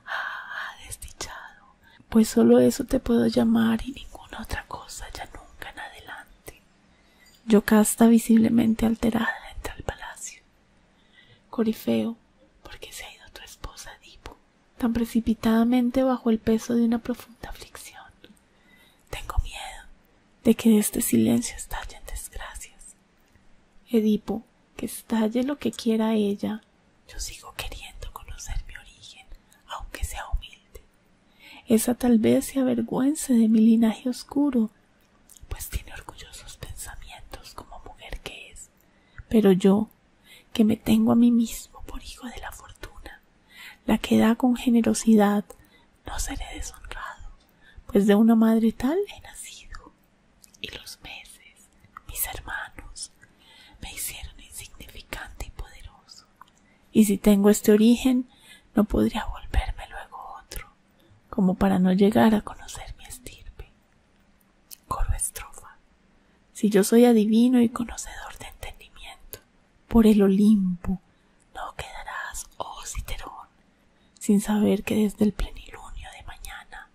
A: ah, desdichado, pues solo eso te puedo llamar y ninguna otra cosa ya nunca en adelante. Yocasta visiblemente alterada entra al palacio. Corifeo, ¿por qué se ha ido tu esposa Edipo? Tan precipitadamente bajo el peso de una profunda aflicción. Tengo miedo de que este silencio estalle en desgracias. Edipo, que estalle lo que quiera ella, yo sigo queriendo conocer mi origen, aunque sea humilde. Esa tal vez se avergüence de mi linaje oscuro, pues tiene orgullosos pensamientos como mujer que es. Pero yo, que me tengo a mí mismo por hijo de la fortuna, la que da con generosidad, no seré deshonrado, pues de una madre tal he nacido. Y los meses, mis hermanos, me hicieron insignificante y poderoso. Y si tengo este origen, no podría volverme luego otro, como para no llegar a conocer mi estirpe. Coro estrofa. Si yo soy adivino y conocedor de entendimiento, por el Olimpo no quedarás, oh Citerón, sin saber que desde el plenilunio de mañana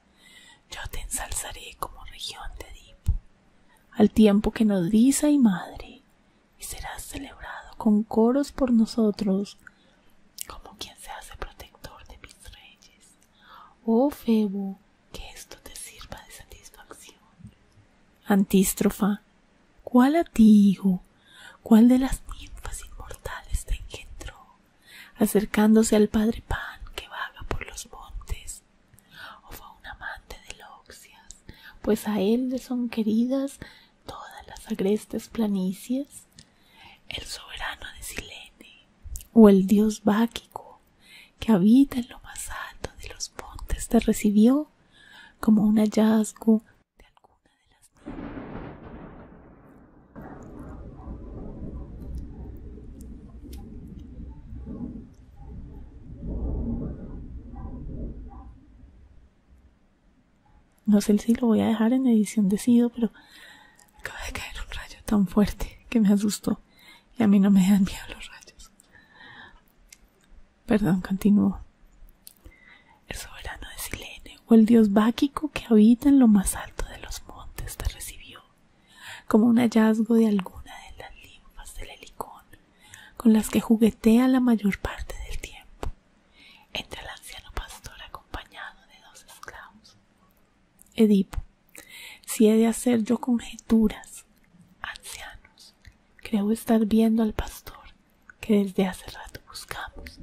A: yo te ensalzaré como región de Edipo, al tiempo que nos dice y madre, y serás celebrado con coros por nosotros, como quien se hace protector de mis reyes. Oh Febo, que esto te sirva de satisfacción. Antístrofa, ¿cuál a ti, hijo? ¿Cuál de las ninfas inmortales te engendró, acercándose al padre Pan que vaga por los montes, o fue un amante de Loxias, pues a él le son queridas todas las agrestes planicies, el soberano de Silene, o el dios Báquico, que habita en lo más alto de los montes, te recibió como un hallazgo de alguna de las no sé si lo voy a dejar en edición de Sido, pero acaba de caer un rayo tan fuerte que me asustó. Y a mí no me dan miedo los rayos. Perdón, continúo. El soberano de Silene o el dios báquico que habita en lo más alto de los montes te recibió como un hallazgo de alguna de las linfas del helicón con las que juguetea la mayor parte del tiempo entre el anciano pastor acompañado de dos esclavos. Edipo, si he de hacer yo conjeturas, ancianos, creo estar viendo al pastor que desde hace rato buscamos,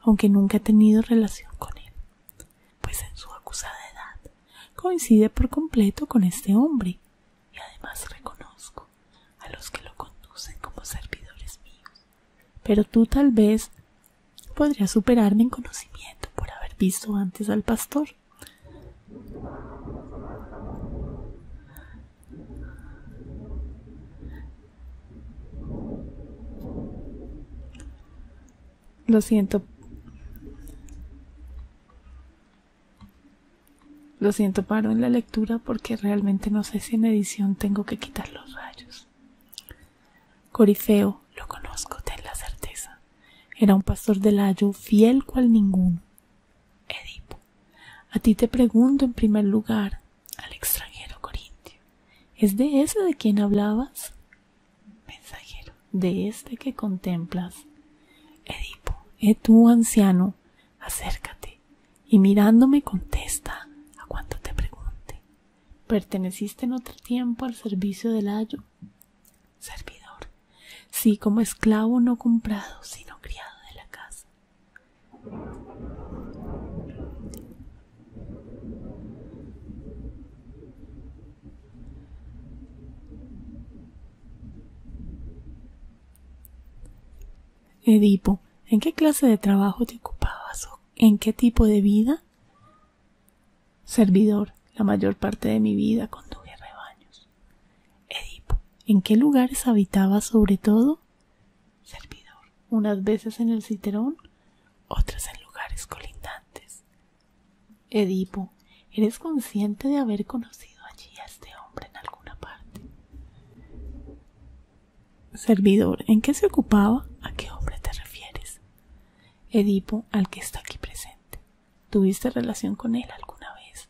A: aunque nunca he tenido relación con él, pues en su acusada edad coincide por completo con este hombre y además reconozco a los que lo conducen como servidores míos. Pero tú tal vez podrías superarme en conocimiento por haber visto antes al pastor. Lo siento. Lo siento, paro en la lectura porque realmente no sé si en edición tengo que quitar los rayos. Corifeo, lo conozco, ten la certeza. Era un pastor de Layo fiel cual ninguno. Edipo, a ti te pregunto en primer lugar, al extranjero corintio, ¿es de ese de quien hablabas? mensajero de este que contemplas. Edipo, he eh, tú anciano, acércate y mirándome contesta a cuanto te pregunte. ¿Perteneciste en otro tiempo al servicio del ayo? Servidor, sí como esclavo no comprado, sino criado de la casa. Edipo, ¿en qué clase de trabajo te ocupabas o en qué tipo de vida? Servidor, la mayor parte de mi vida conduje rebaños. Edipo, ¿en qué lugares habitabas sobre todo? Servidor, unas veces en el Citerón, otras en lugares colindantes. Edipo, ¿eres consciente de haber conocido allí a este hombre en alguna parte? Servidor, ¿en qué se ocupaba? ¿A qué hombre te refieres? Edipo, al que está aquí presente. ¿Tuviste relación con él alguna vez?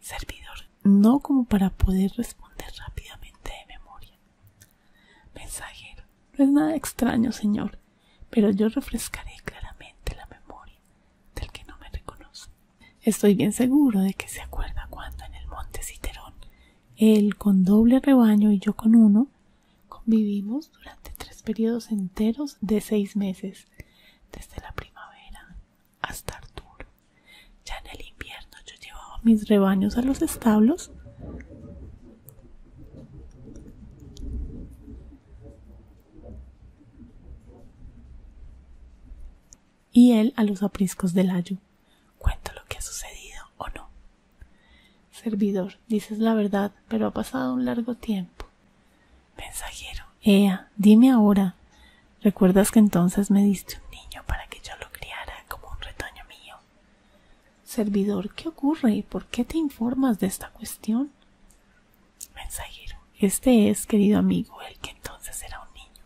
A: Servidor, no como para poder responder rápidamente de memoria. Mensajero, no es nada extraño, señor pero yo refrescaré claramente la memoria del que no me reconoce. Estoy bien seguro de que se acuerda cuando en el monte Citerón, él con doble rebaño y yo con uno, convivimos durante tres periodos enteros de seis meses, desde la primavera hasta Arturo. Ya en el invierno yo llevaba mis rebaños a los establos y él a los apriscos del ayu, Cuento lo que ha sucedido o no. Servidor, dices la verdad, pero ha pasado un largo tiempo. Mensajero, Ea, dime ahora. ¿Recuerdas que entonces me diste un niño para que yo lo criara como un retoño mío? Servidor, ¿qué ocurre? y ¿Por qué te informas de esta cuestión? Mensajero. Este es, querido amigo, el que entonces era un niño.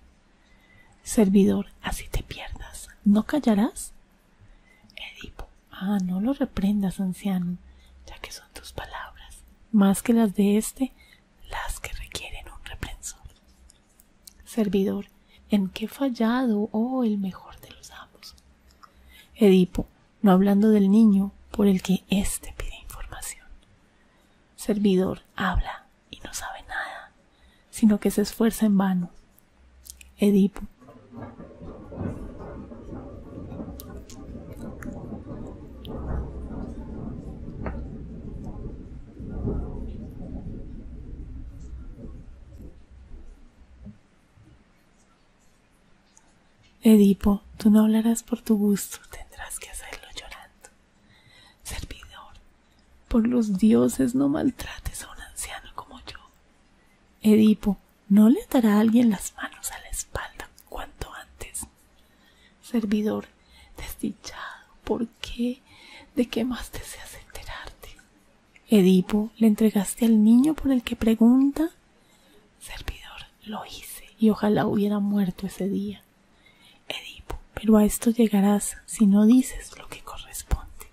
A: Servidor, así te pierdas. ¿No callarás? Edipo. Ah, no lo reprendas, anciano, ya que son tus palabras, más que las de este las que requieren un reprensor. Servidor, ¿en qué fallado, oh el mejor de los amos? Edipo, no hablando del niño por el que éste pide información. Servidor habla y no sabe nada, sino que se esfuerza en vano. Edipo. Edipo, tú no hablarás por tu gusto, tendrás que hacerlo llorando. Servidor, por los dioses no maltrates a un anciano como yo. Edipo, ¿no le dará alguien las manos a la espalda cuanto antes? Servidor, desdichado, ¿por qué? ¿De qué más deseas enterarte? Edipo, ¿le entregaste al niño por el que pregunta? servidor, lo hice y ojalá hubiera muerto ese día. Edipo, pero a esto llegarás si no dices lo que corresponde.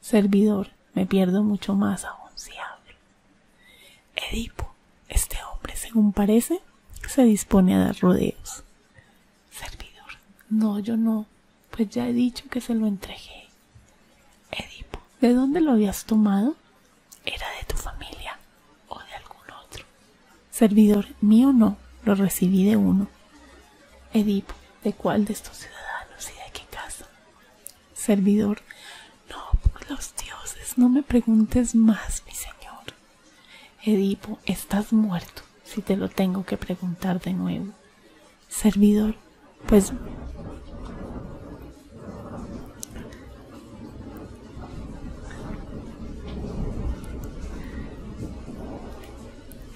A: Servidor, me pierdo mucho más aún si hablo. Edipo, este hombre, según parece, se dispone a dar rodeos. Servidor, no, yo no, pues ya he dicho que se lo entregué. Edipo, ¿de dónde lo habías tomado? ¿Era de tu familia o de algún otro? Servidor mío no, lo recibí de uno. Edipo, ¿de cuál de estos ciudadanos y de qué casa? Servidor, no, por los dioses, no me preguntes más, mi señor. Edipo, estás muerto, si te lo tengo que preguntar de nuevo. Servidor, pues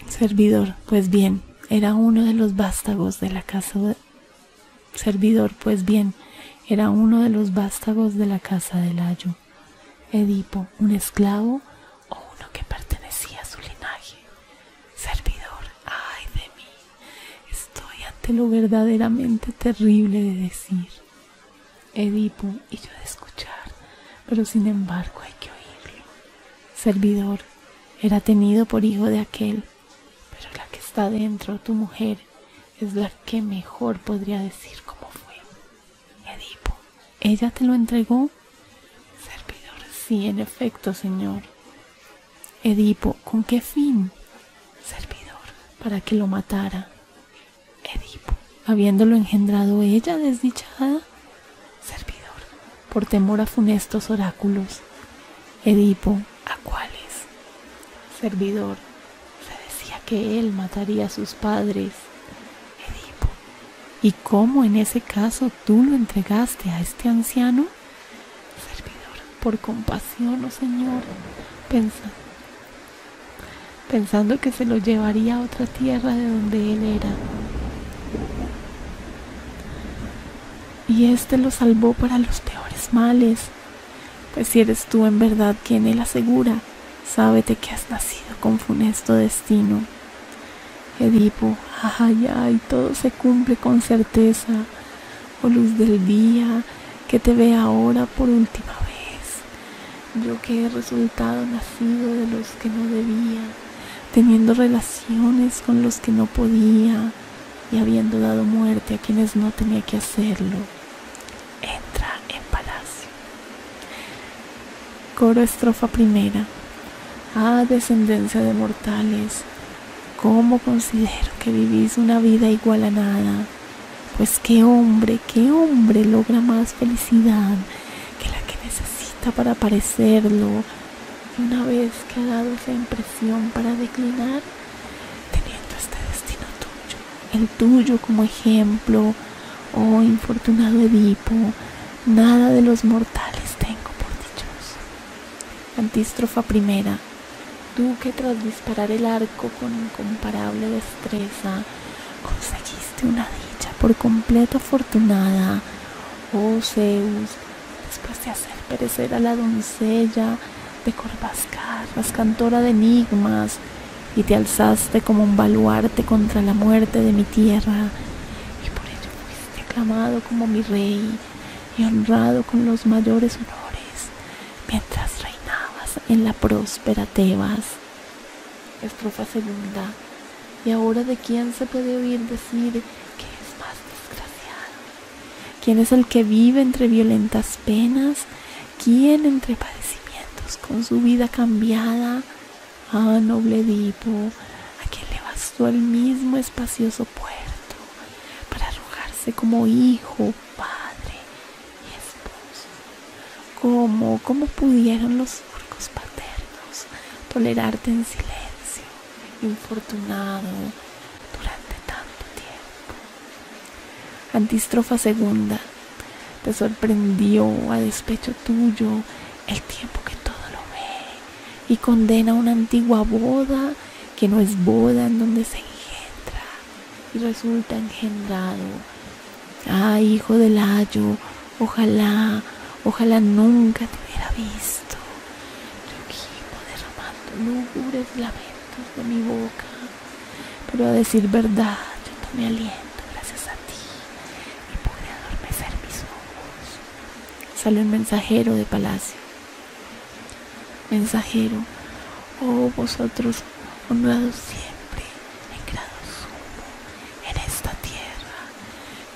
A: Servidor, pues bien, era uno de los vástagos de la casa de... Servidor, pues bien, era uno de los vástagos de la casa del Layo. Edipo, un esclavo o uno que pertenecía a su linaje. Servidor, ay de mí, estoy ante lo verdaderamente terrible de decir. Edipo y yo de escuchar, pero sin embargo hay que oírlo. Servidor, era tenido por hijo de aquel, pero la que está dentro, tu mujer, es la que mejor podría decir cómo fue. Edipo, ¿ella te lo entregó? Servidor, sí, en efecto, señor. Edipo, ¿con qué fin? Servidor, para que lo matara. Edipo, habiéndolo engendrado ella desdichada, servidor, por temor a funestos oráculos. Edipo, ¿a cuáles? Servidor, se decía que él mataría a sus padres. Edipo, ¿y cómo en ese caso tú lo entregaste a este anciano? Servidor, por compasión, oh Señor, pensad pensando que se lo llevaría a otra tierra de donde él era. Y éste lo salvó para los peores males, pues si eres tú en verdad quien él asegura, sábete que has nacido con funesto destino. Edipo, ay, ay, todo se cumple con certeza, oh luz del día, que te vea ahora por última vez. Yo que he resultado nacido de los que no debía, teniendo relaciones con los que no podía y habiendo dado muerte a quienes no tenía que hacerlo. Entra en palacio. Coro estrofa primera. Ah, descendencia de mortales, ¿cómo considero que vivís una vida igual a nada? Pues qué hombre, qué hombre logra más felicidad que la que necesita para parecerlo. Y una vez que ha dado esa impresión para declinar, teniendo este destino tuyo, el tuyo como ejemplo, oh infortunado Edipo, nada de los mortales tengo por dichoso. Antístrofa primera. Tú que tras disparar el arco con incomparable destreza, conseguiste una dicha por completo afortunada, oh Zeus, después de hacer perecer a la doncella de Corvascarras, cantora de enigmas, y te alzaste como un baluarte contra la muerte de mi tierra, y por ello fuiste aclamado como mi rey y honrado con los mayores honores mientras reinabas en la próspera Tebas. Estrofa segunda. ¿Y ahora de quién se puede oír decir que es más desgraciado? ¿Quién es el que vive entre violentas penas? ¿Quién entre padecimientos con su vida cambiada? Ah, noble Edipo, a quien le bastó el mismo espacioso puerto para arrojarse como hijo, padre, esposo, ¿Cómo, cómo pudieron los orcos paternos tolerarte en silencio, infortunado, durante tanto tiempo? Antistrofa segunda, te sorprendió a despecho tuyo el tiempo que todo lo ve y condena una antigua boda que no es boda en donde se engendra y resulta engendrado. Ah, hijo del ayo, ojalá, ojalá nunca te hubiera visto. Yo derramando lúgubres lamentos de mi boca. Pero a decir verdad, yo tomé aliento gracias a ti y pude adormecer mis ojos. sale el mensajero de palacio. Mensajero, oh vosotros un siempre en grado sumo en esta tierra.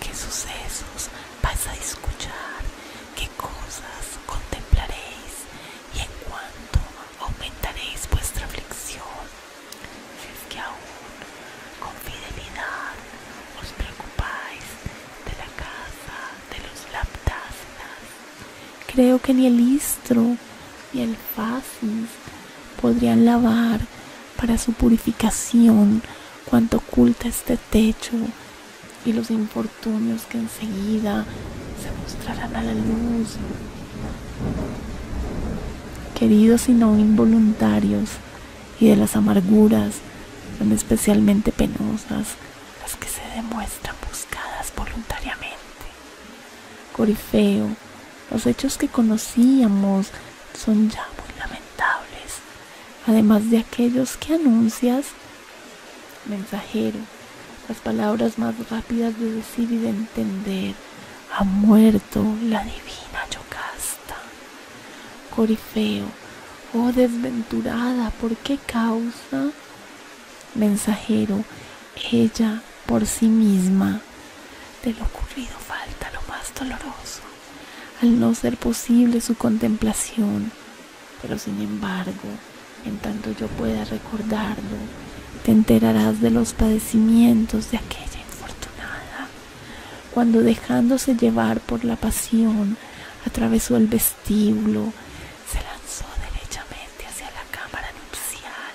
A: ¿Qué sucesos vais a escuchar? ¿Qué cosas contemplaréis? ¿Y en cuánto aumentaréis vuestra aflicción? Si es que aún con fidelidad os preocupáis de la casa de los laptasnas Creo que ni el istro ni el fascis podrían lavar para su purificación cuanto oculta este techo y los infortunios que enseguida se mostrarán a la luz. Queridos y no involuntarios, y de las amarguras son especialmente penosas las que se demuestran buscadas voluntariamente. Corifeo, los hechos que conocíamos son ya muy lamentables, además de aquellos que anuncias. Mensajero, las palabras más rápidas de decir y de entender, ha muerto la divina Yocasta. Corifeo, oh desventurada, ¿por qué causa? Mensajero, ella por sí misma. De lo ocurrido falta lo más doloroso, al no ser posible su contemplación. Pero sin embargo, en tanto yo pueda recordarlo, te enterarás de los padecimientos de aquella infortunada, cuando dejándose llevar por la pasión, atravesó el vestíbulo, se lanzó derechamente hacia la cámara nupcial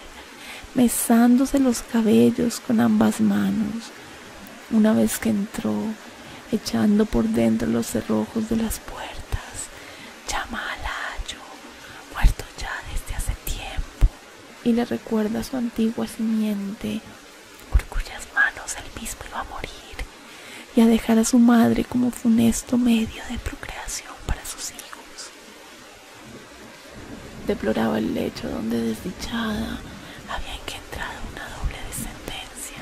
A: mesándose los cabellos con ambas manos, una vez que entró, echando por dentro los cerrojos de las puertas. Llama a Layo, muerto ya desde hace tiempo, y le recuerda su antigua simiente, por cuyas manos el mismo iba a morir, y a dejar a su madre como funesto medio de procreación para sus hijos. Deploraba el lecho donde desdichada había encontrado una doble descendencia,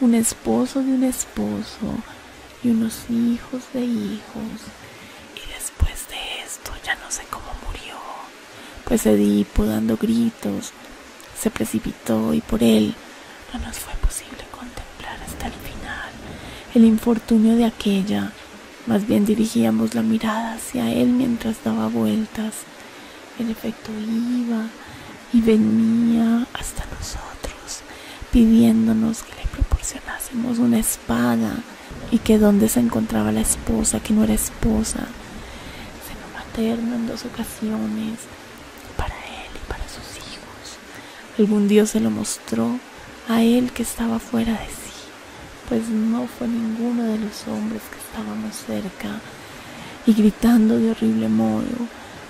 A: un esposo de un esposo y unos hijos de hijos. Y después de esto ya no sé cómo murió, pues Edipo dando gritos se precipitó y por él no nos fue posible contemplar hasta el final el infortunio de aquella más bien dirigíamos la mirada hacia él mientras daba vueltas. En efecto iba y venía hasta nosotros pidiéndonos que le proporcionásemos una espada y que donde se encontraba la esposa, que no era esposa. sino materna en dos ocasiones para él y para sus hijos. Algún Dios se lo mostró a él que estaba fuera de sí, pues no fue ninguno de los hombres que estábamos cerca, y gritando de horrible modo,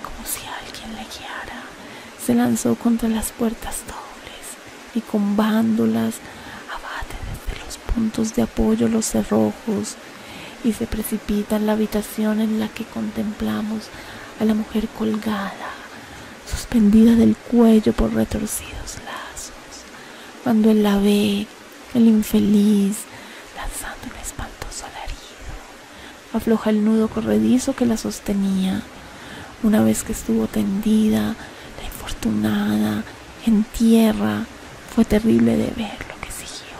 A: como si alguien le guiara, se lanzó contra las puertas dobles y con bándolas abate desde los puntos de apoyo los cerrojos y se precipita en la habitación en la que contemplamos a la mujer colgada suspendida del cuello por retorcidos lazos. Cuando él la ve, el infeliz, lanzando un espantoso alarido, afloja el nudo corredizo que la sostenía. Una vez que estuvo tendida, la infortunada, en tierra, fue terrible de ver lo que siguió.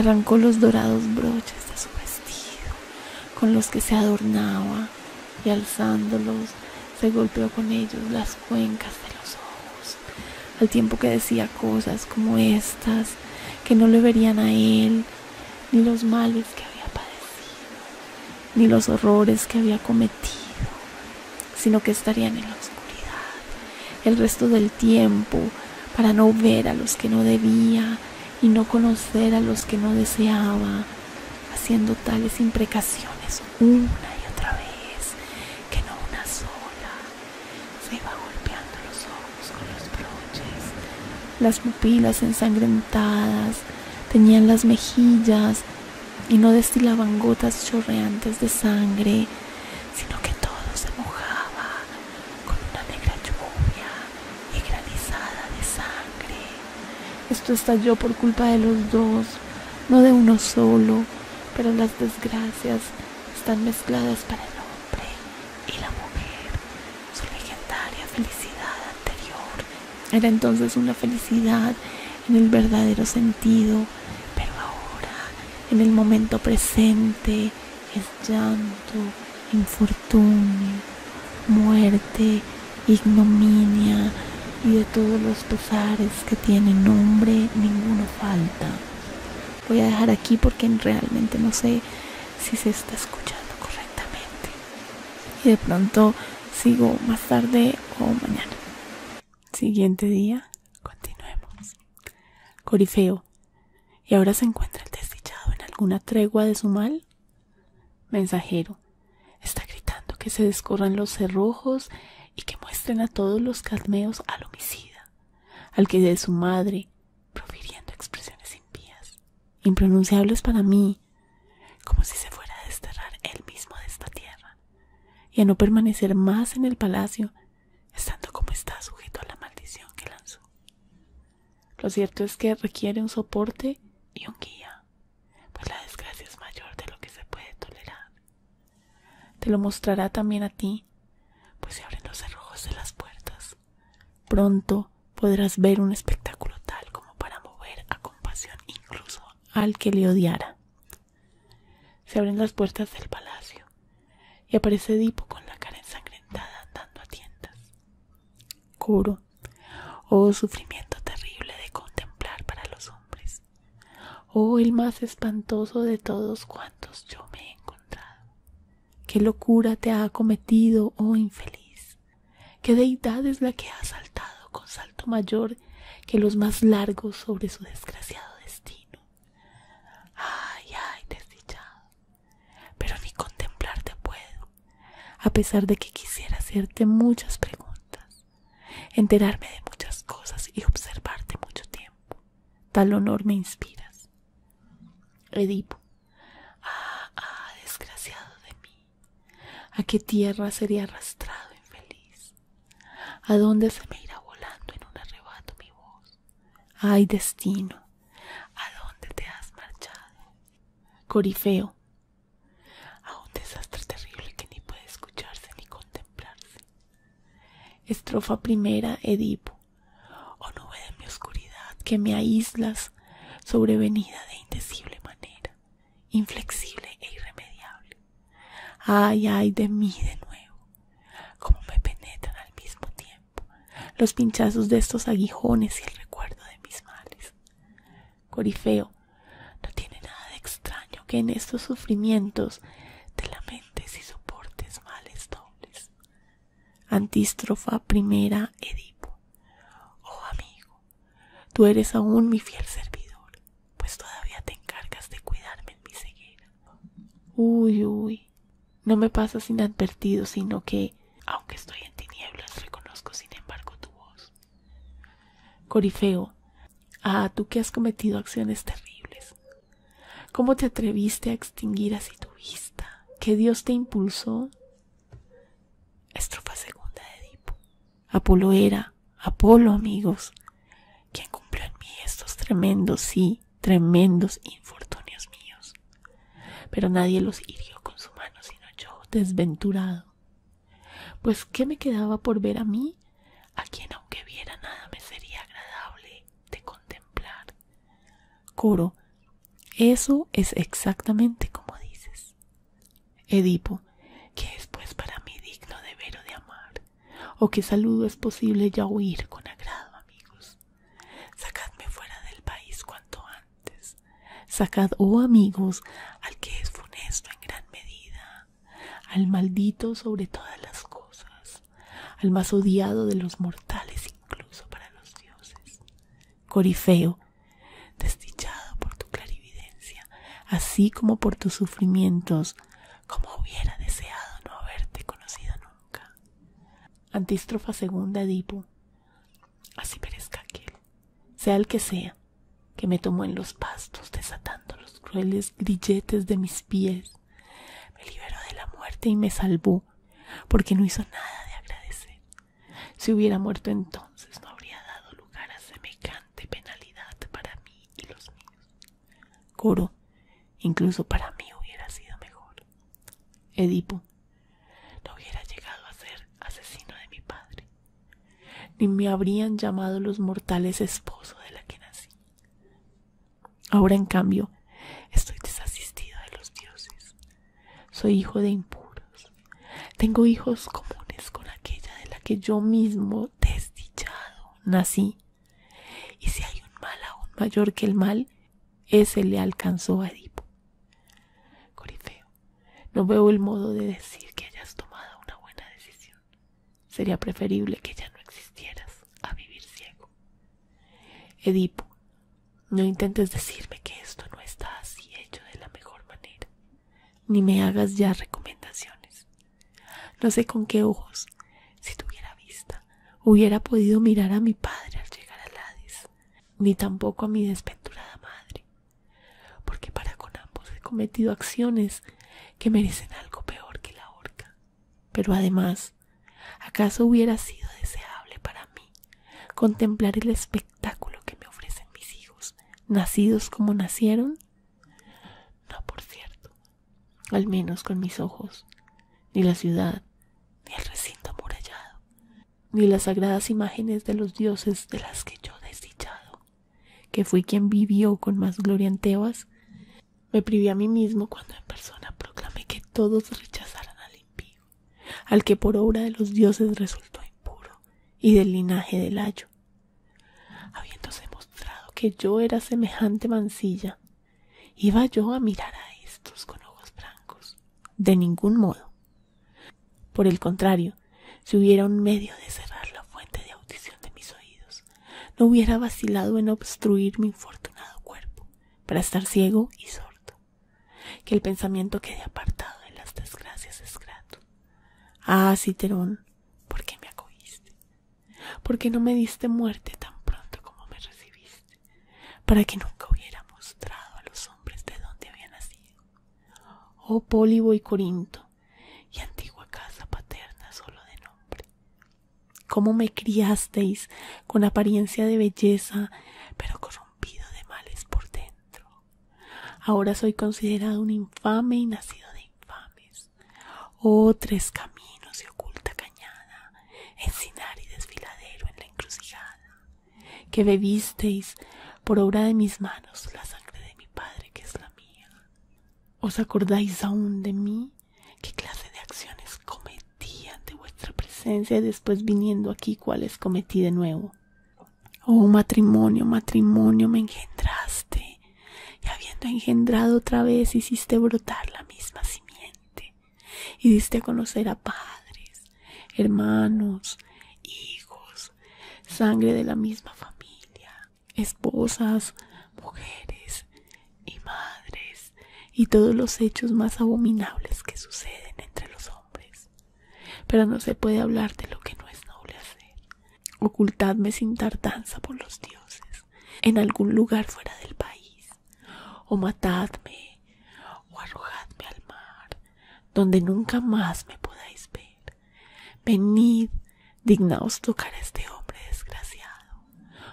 A: Arrancó los dorados broches de su vestido con los que se adornaba y alzándolos se golpeó con ellos las cuencas de los ojos, al tiempo que decía cosas como estas que no le verían a él ni los males que había padecido, ni los horrores que había cometido, sino que estarían en la oscuridad el resto del tiempo para no ver a los que no debía y no conocer a los que no deseaba, haciendo tales imprecaciones una y otra vez, que no una sola. Se iba golpeando los ojos con los broches, las pupilas ensangrentadas, tenían las mejillas y no destilaban gotas chorreantes de sangre, sino que todo se mojaba con una negra lluvia y granizada de sangre. Esto estalló por culpa de los dos, no de uno solo, pero las desgracias están mezcladas para el hombre y la mujer. Su legendaria felicidad anterior era entonces una felicidad en el verdadero sentido, pero ahora, en el momento presente, es llanto, infortunio, muerte, ignominia y de todos los posares que tiene nombre, ninguno falta. Voy a dejar aquí porque realmente no sé si se está escuchando correctamente. Y de pronto sigo más tarde o mañana. Siguiente día, continuemos. Corifeo, ¿y ahora se encuentra el desdichado en alguna tregua de su mal? Mensajero, Está gritando que se descorran los cerrojos y que muestren a todos los calmeos al homicida, al que de su madre, profiriendo expresiones impías, impronunciables para mí, como si se fuera a desterrar él mismo de esta tierra, y a no permanecer más en el palacio, estando como está sujeto a la maldición que lanzó. Lo cierto es que requiere un soporte y un guía pues la desgracia es mayor de lo que se puede tolerar. Te lo mostrará también a ti, pues se abren los cerrojos de las puertas. Pronto podrás ver un espectáculo tal como para mover a compasión incluso al que le odiara. Se abren las puertas del palacio y aparece Edipo con la cara ensangrentada dando a tiendas. Coro, oh sufrimiento terrible de contemplar para los hombres! oh el más espantoso de todos cuantos yo me he encontrado. ¿Qué locura te ha acometido, oh infeliz? ¿Qué deidad es la que ha saltado con salto mayor que los más largos sobre su desgraciado destino? Ay, ay, desdichado. Pero ni contemplarte puedo, a pesar de que quisiera hacerte muchas preguntas enterarme de muchas cosas y observarte mucho tiempo. Tal honor me inspiras. Edipo. Ah, ah, desgraciado de mí. ¿A qué tierra sería arrastrado infeliz? ¿A dónde se me irá volando en un arrebato mi voz? Ay, destino, ¿a dónde te has marchado? Corifeo a un desastre terrible que ni puede escucharse ni contemplarse. Estrofa primera, Edipo. Oh nube de mi oscuridad, que me aíslas, sobrevenida de indecible manera, inflexible e irremediable. Ay, ay de mí de nuevo, como me penetran al mismo tiempo los pinchazos de estos aguijones y el recuerdo de mis males. Corifeo, no tiene nada de extraño que en estos sufrimientos te lamentes y soportes males dobles. Antístrofa primera, Edipo. Oh amigo, tú eres aún mi fiel servidor, pues todavía te encargas de cuidarme en mi ceguera. Uy, uy, no me pasas inadvertido, sino que, aunque estoy en tinieblas, reconozco sin embargo tu voz. Corifeo, Ah, tú que has cometido acciones terribles. ¿Cómo te atreviste a extinguir así tu vista? ¿Qué Dios te impulsó? Estrofa segunda de Edipo. Apolo era, Apolo, amigos, quien cumplió en mí estos tremendos, sí, tremendos infortunios míos. Pero nadie los hirió con su mano, sino yo, desventurado. Pues, ¿qué me quedaba por ver a mí? A quien aunque viera nada me sería agradable de contemplar. Coro, eso es exactamente como dices. Edipo, ¿qué es pues para mí digno de ver o de amar? ¿O qué saludo es posible ya huir con agrado, amigos? Sacadme fuera del país cuanto antes. Sacad, oh amigos, al que es funesto en gran medida, al maldito sobre todas las cosas, al más odiado de los mortales incluso para los dioses. Corifeo, desdichado por tu clarividencia, así como por tus sufrimientos, como hubiera deseado no haberte conocido nunca. Antístrofa segunda Edipo, así perezca aquel, sea el que sea, que me tomó en los pastos desatando los crueles grilletes de mis pies me liberó de la muerte y me salvó porque no hizo nada de agradecer si hubiera muerto entonces no habría dado lugar a semejante penalidad para mí y los míos coro incluso para mí hubiera sido mejor edipo no hubiera llegado a ser asesino de mi padre ni me habrían llamado los mortales esposo de la que nací. Ahora, en cambio, estoy desasistido de los dioses. Soy hijo de impuros. Tengo hijos comunes con aquella de la que yo mismo, desdichado, nací. Y si hay un mal aún mayor que el mal, ese le alcanzó a Edipo. Corifeo, no veo el modo de decir que hayas tomado una buena decisión. Sería preferible que ya no existieras a vivir ciego. Edipo, no intentes decirme que esto no está así hecho de la mejor manera, ni me hagas ya recomendaciones. No sé con qué ojos, si tuviera vista, hubiera podido mirar a mi padre al llegar a Hades, ni tampoco a mi desventurada madre, porque para con ambos he cometido acciones que merecen algo peor que la horca. Pero además, ¿acaso hubiera sido deseable para mí contemplar el espectáculo que me ofrecen mis hijos, nacidos como nacieron? No, por cierto, al menos con mis ojos, ni la ciudad, ni el recinto amurallado, ni las sagradas imágenes de los dioses de las que yo desdichado que fui quien vivió con más gloria en Tebas, me privé a mí mismo cuando en persona proclamé que todos rechazaran al impío, al que por obra de los dioses resultó impuro y del linaje del ayo. Habiéndose mostrado que yo era semejante mancilla, iba yo a mirar a estos con ojos blancos de ningún modo. Por el contrario, si hubiera un medio de cerrar la fuente de audición de mis oídos, no hubiera vacilado en obstruir mi infortunado cuerpo para estar ciego y sordo. Que el pensamiento quede apartado de las desgracias es grato. Ah, Citerón, ¿por qué me acogiste? ¿Por qué no me diste muerte tan pronto como me recibiste? Para que nunca hubiera mostrado a los hombres de dónde había nacido. Oh pólivo y Corinto, y antigua casa paterna solo de nombre. Cómo me criasteis con apariencia de belleza, pero corrompido de males por dentro. Ahora soy considerado un infame y nacido de infames. Oh, tres caminos y oculta cañada, encinar y desfiladero en la encrucijada, que bebisteis por obra de mis manos la sangre de mi padre que es la mía. ¿Os acordáis aún de mí? ¿Qué clase de acciones cometí ante vuestra presencia y después viniendo aquí cuáles cometí de nuevo? Oh matrimonio, matrimonio, me engendraste, y habiendo engendrado otra vez hiciste brotar la misma simiente, y diste a conocer a padres, hermanos, hijos, sangre de la misma familia, esposas, mujeres y madres y todos los hechos más abominables que suceden entre los hombres. Pero no se puede hablar de lo que no es noble hacer. Ocultadme sin tardanza por los dioses, en algún lugar fuera del país, o matadme, o arrojadme al mar, donde nunca más me podáis ver. Venid, dignaos tocar a este hombre desgraciado.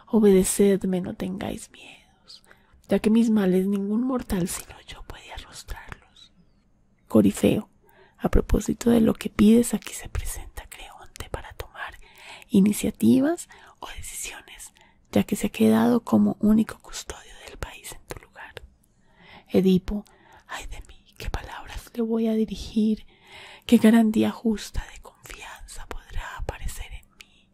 A: Obedecedme, no tengáis miedos, ya que mis males ningún mortal sino yo puede arrostrarlos. Corifeo, a propósito de lo que pides, aquí se presenta Creonte para tomar iniciativas o decisiones, ya que se ha quedado como único custodio del país en tu lugar. Edipo, ay de mí, qué palabras le voy a dirigir, qué garantía justa de confianza podrá aparecer en mí,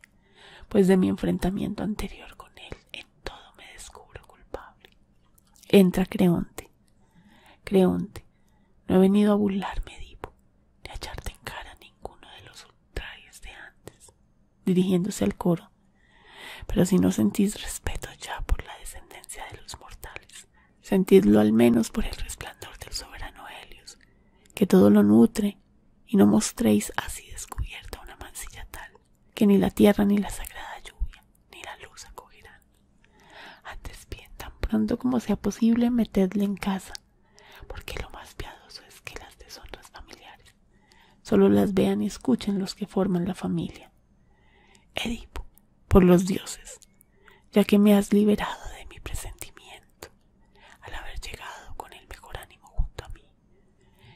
A: pues de mi enfrentamiento anterior con él en todo me descubro culpable. Entra Creonte. Creonte, no he venido a burlarme, Edipo, ni a echarte en cara ninguno de los ultrajes de antes, dirigiéndose al coro. Pero si no sentís respeto ya por la descendencia de los mortales, Sentidlo al menos por el resplandor del soberano Helios, que todo lo nutre, y no mostréis así descubierta una mancilla tal, que ni la tierra ni la sagrada lluvia ni la luz acogerán. Antes bien, tan pronto como sea posible, metedle en casa, porque lo más piadoso es que las deshonras familiares solo las vean y escuchen los que forman la familia. Edipo, por los dioses, ya que me has liberado de mi presentimiento al haber llegado con el mejor ánimo junto a mí,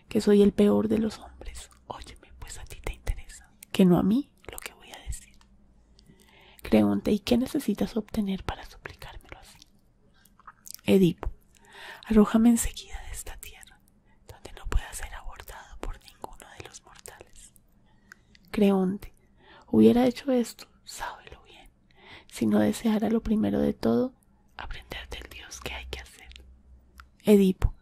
A: que soy el peor de los hombres. Óyeme, pues a ti te interesa, que no a mí lo que voy a decir. Creonte, ¿y qué necesitas obtener para suplicármelo así? Edipo, arrójame enseguida de esta tierra, donde no pueda ser abordado por ninguno de los mortales. Creonte, hubiera hecho esto, sábelo bien, si no deseara lo primero de todo, aprender del Dios que hay que hacer. Edipo,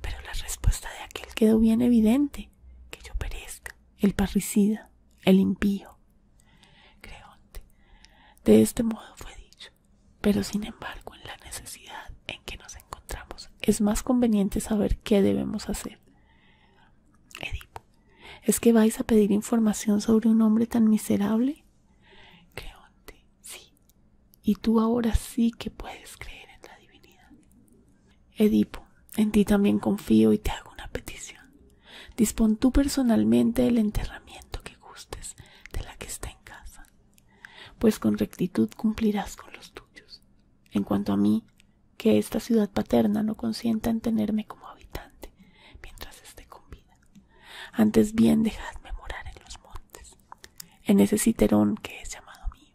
A: pero la respuesta de aquel quedó bien evidente, que yo perezca, el parricida, el impío. Creonte, de este modo fue dicho, pero sin embargo en la necesidad en que nos encontramos es más conveniente saber qué debemos hacer. ¿Es que vais a pedir información sobre un hombre tan miserable? Creonte, sí. Y tú ahora sí que puedes creer en la divinidad. Edipo, en ti también confío y te hago una petición. Dispon tú personalmente el enterramiento que gustes de la que está en casa, pues con rectitud cumplirás con los tuyos en cuanto a mí, que esta ciudad paterna no consienta en tenerme como habitante mientras esté con vida. Antes bien dejadme morar en los montes, en ese citerón que es llamado mío,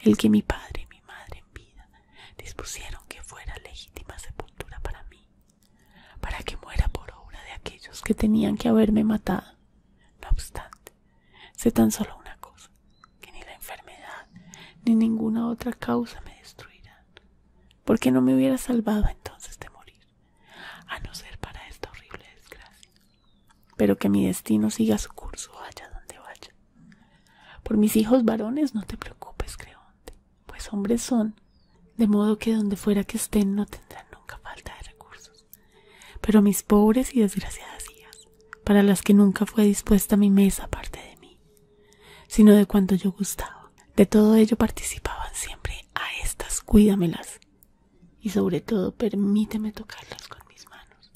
A: el que mi padre y mi madre en vida dispusieron que fuera legítima sepultura para mí, para que muera por obra de aquellos que tenían que haberme matado. No obstante, sé tan solo una cosa, que ni la enfermedad ni ninguna otra causa me destruirán, porque no me hubiera salvado entonces de morir, a no ser para esta horrible desgracia. Pero que mi destino siga su curso vaya donde vaya. Por mis hijos varones no te preocupes, Creonte, pues hombres son, de modo que donde fuera que estén no tendrán nunca falta de recursos. Pero mis pobres y desgraciadas hijas, para las que nunca fue dispuesta mi mesa parte de mí, sino de cuanto yo gustaba. De todo ello participaban siempre a estas, cuídamelas y sobre todo permíteme tocarlas con mis manos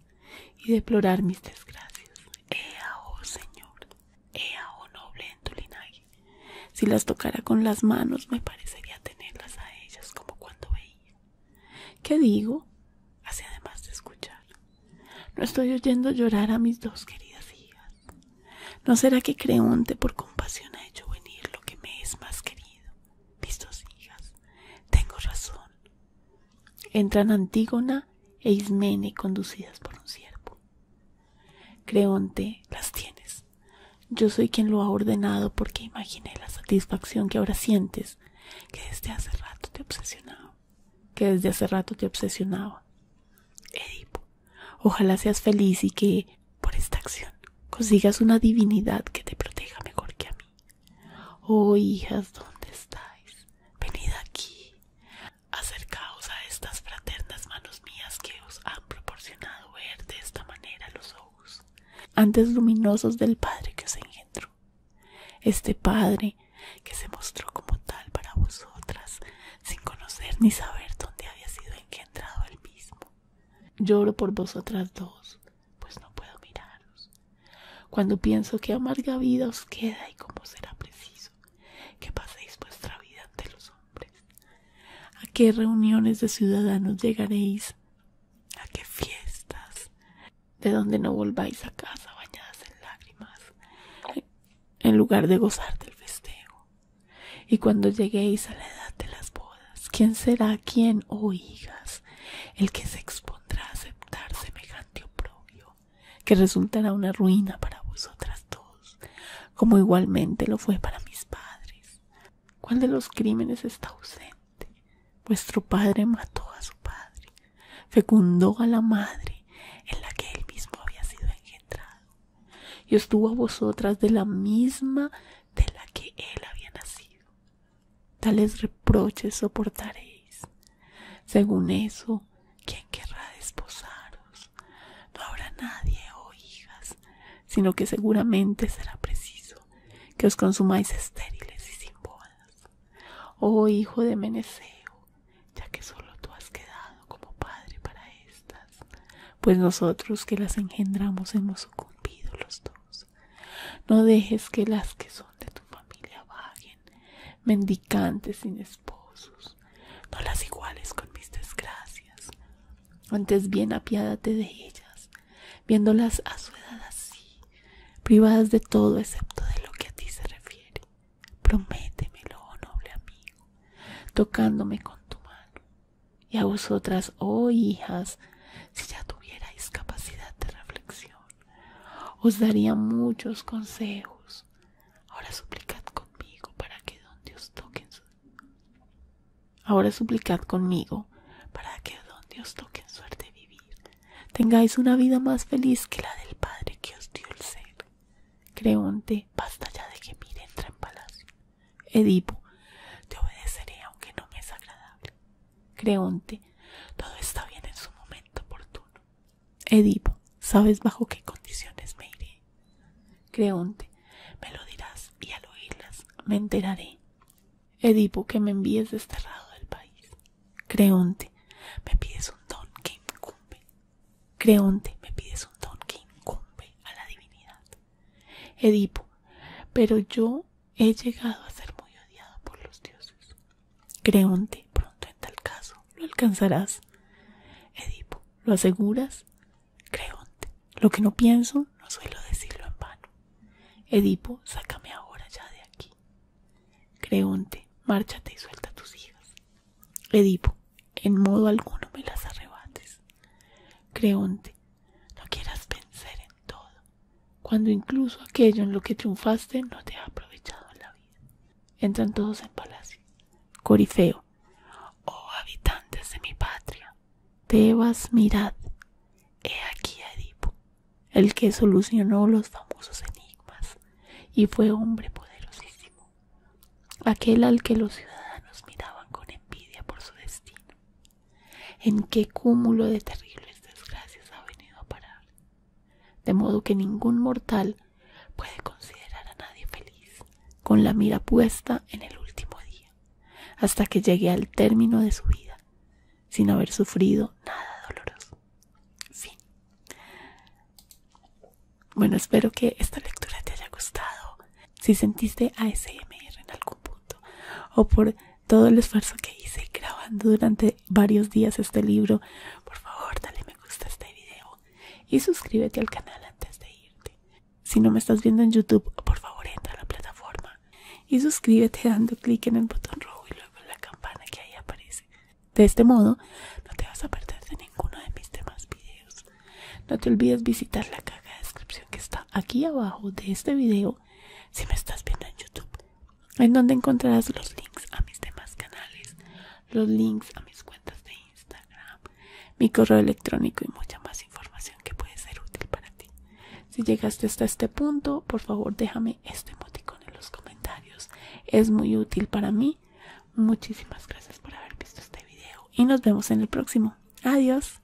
A: y deplorar mis desgracias. Ea, oh Señor, ea, oh noble en tu linaje. Si las tocara con las manos me parecería tenerlas a ellas como cuando veía. ¿Qué digo? Así además de escuchar. No estoy oyendo llorar a mis dos queridas hijas. ¿No será que Creonte por compasión ha hecho venir lo que me es más querido? Mis dos hijas. Tengo razón. Entran Antígona e Ismene conducidas por un siervo. Creonte, las tienes. Yo soy quien lo ha ordenado porque imaginé la satisfacción que ahora sientes, que desde hace rato te obsesionaba que desde hace rato te obsesionaba. Edipo, ojalá seas feliz y que, por esta acción, consigas una divinidad que te proteja mejor que a mí. Oh, hijas, ¿dónde estáis? Venid aquí. Acercaos a estas fraternas manos mías que os han proporcionado ver de esta manera los ojos, antes luminosos del Padre que os engendró. Este Padre que se mostró como tal para vosotras, sin conocer ni saber dónde había sido engendrado el mismo. Lloro por vosotras dos, pues no puedo miraros. Cuando pienso que amarga vida os queda y cómo será preciso que paséis vuestra vida ante los hombres, a qué reuniones de ciudadanos llegaréis, a qué fiestas, de donde no volváis a casa bañadas en lágrimas, en lugar de gozar del festejo. Y cuando lleguéis a la edad de las bodas, ¿quién será quien, oh hijas, el que se expondrá a aceptar semejante oprobio, que resultará una ruina para vosotras dos, como igualmente lo fue para mis padres? ¿Cuál de los crímenes está ausente? Vuestro padre mató a su padre, fecundó a la madre en la que él mismo había sido engendrado, y os tuvo a vosotras de la misma de la que él había nacido. Tales reproches soportaréis. Según eso, ¿quién querrá desposaros? No habrá nadie, oh hijas, sino que seguramente será preciso que os consumáis estériles y sin bodas. Oh hijo de Meneceo, ya que solo tú has quedado como padre para éstas, pues nosotros que las engendramos hemos sucumbido los dos. No dejes que las que son de tu familia vaguen, mendicantes sin esposos, no las iguales con mis desgracias. Antes bien apiádate de ellas, viéndolas a su edad así, privadas de todo excepto de lo que a ti se refiere. Prométemelo, oh noble amigo, tocándome con tu mano. Y a vosotras, oh hijas, si ya tuvierais capacidad de reflexión, os daría muchos consejos. Ahora suplicad conmigo para que donde os toquen Ahora suplicad conmigo para que suerte vivir, tengáis una vida más feliz que la del Padre que os dio el ser. Creonte, basta ya de que mire, entra en palacio. Edipo, te obedeceré aunque no me es agradable. Creonte, todo está bien en su momento oportuno. Edipo, ¿sabes bajo qué condiciones me iré? Creonte, me lo dirás y al oírlas me enteraré. Edipo, que me envíes desterrado del país. Creonte, me pides un don que incumbe Creonte, me pides un don que incumbe a la divinidad. Edipo, pero yo he llegado a ser muy odiado por los dioses. Creonte, pronto en tal caso lo alcanzarás. Edipo, ¿lo aseguras? Creonte, lo que no pienso no suelo decirlo en vano. Edipo, sácame ahora ya de aquí. Creonte, márchate y suelta tus hijas. Edipo, en modo alguno me las arrebates. Creonte, no quieras vencer en todo, cuando incluso aquello en lo que triunfaste no te ha aprovechado la vida. Entran todos en palacio. Corifeo, oh habitantes de mi patria, te vas mirad, he aquí a Edipo, el que solucionó los famosos enigmas y fue hombre poderosísimo aquel al que los ciudadanos miraban con envidia por su destino. En qué cúmulo de terribles desgracias ha venido a parar, de modo que ningún mortal puede considerar a nadie feliz, con la mira puesta en el último día, hasta que llegue al término de su vida, sin haber sufrido nada doloroso. Bueno, espero que esta lectura te haya gustado. Si sentiste ASMR en algún punto o por todo el esfuerzo que hice grabando durante varios días este libro, por favor dale me gusta a este video y suscríbete al canal antes de irte. Si no me estás viendo en YouTube, por favor entra a la plataforma y suscríbete dando clic en el botón rojo y luego en la campana que ahí aparece. De este modo, no te vas a perder de ninguno de mis demás videos. No te olvides visitar la caja de descripción que está aquí abajo de este video si me estás viendo en YouTube, en donde encontrarás los links a mis demás canales, los links a mis cuentas de Instagram, mi correo electrónico y mucha más información que puede ser útil para ti. Si llegaste hasta este punto, por favor déjame este emoticón en los comentarios. Es muy útil para mí Muchísimas gracias por haber visto este video y nos vemos en el próximo. Adiós.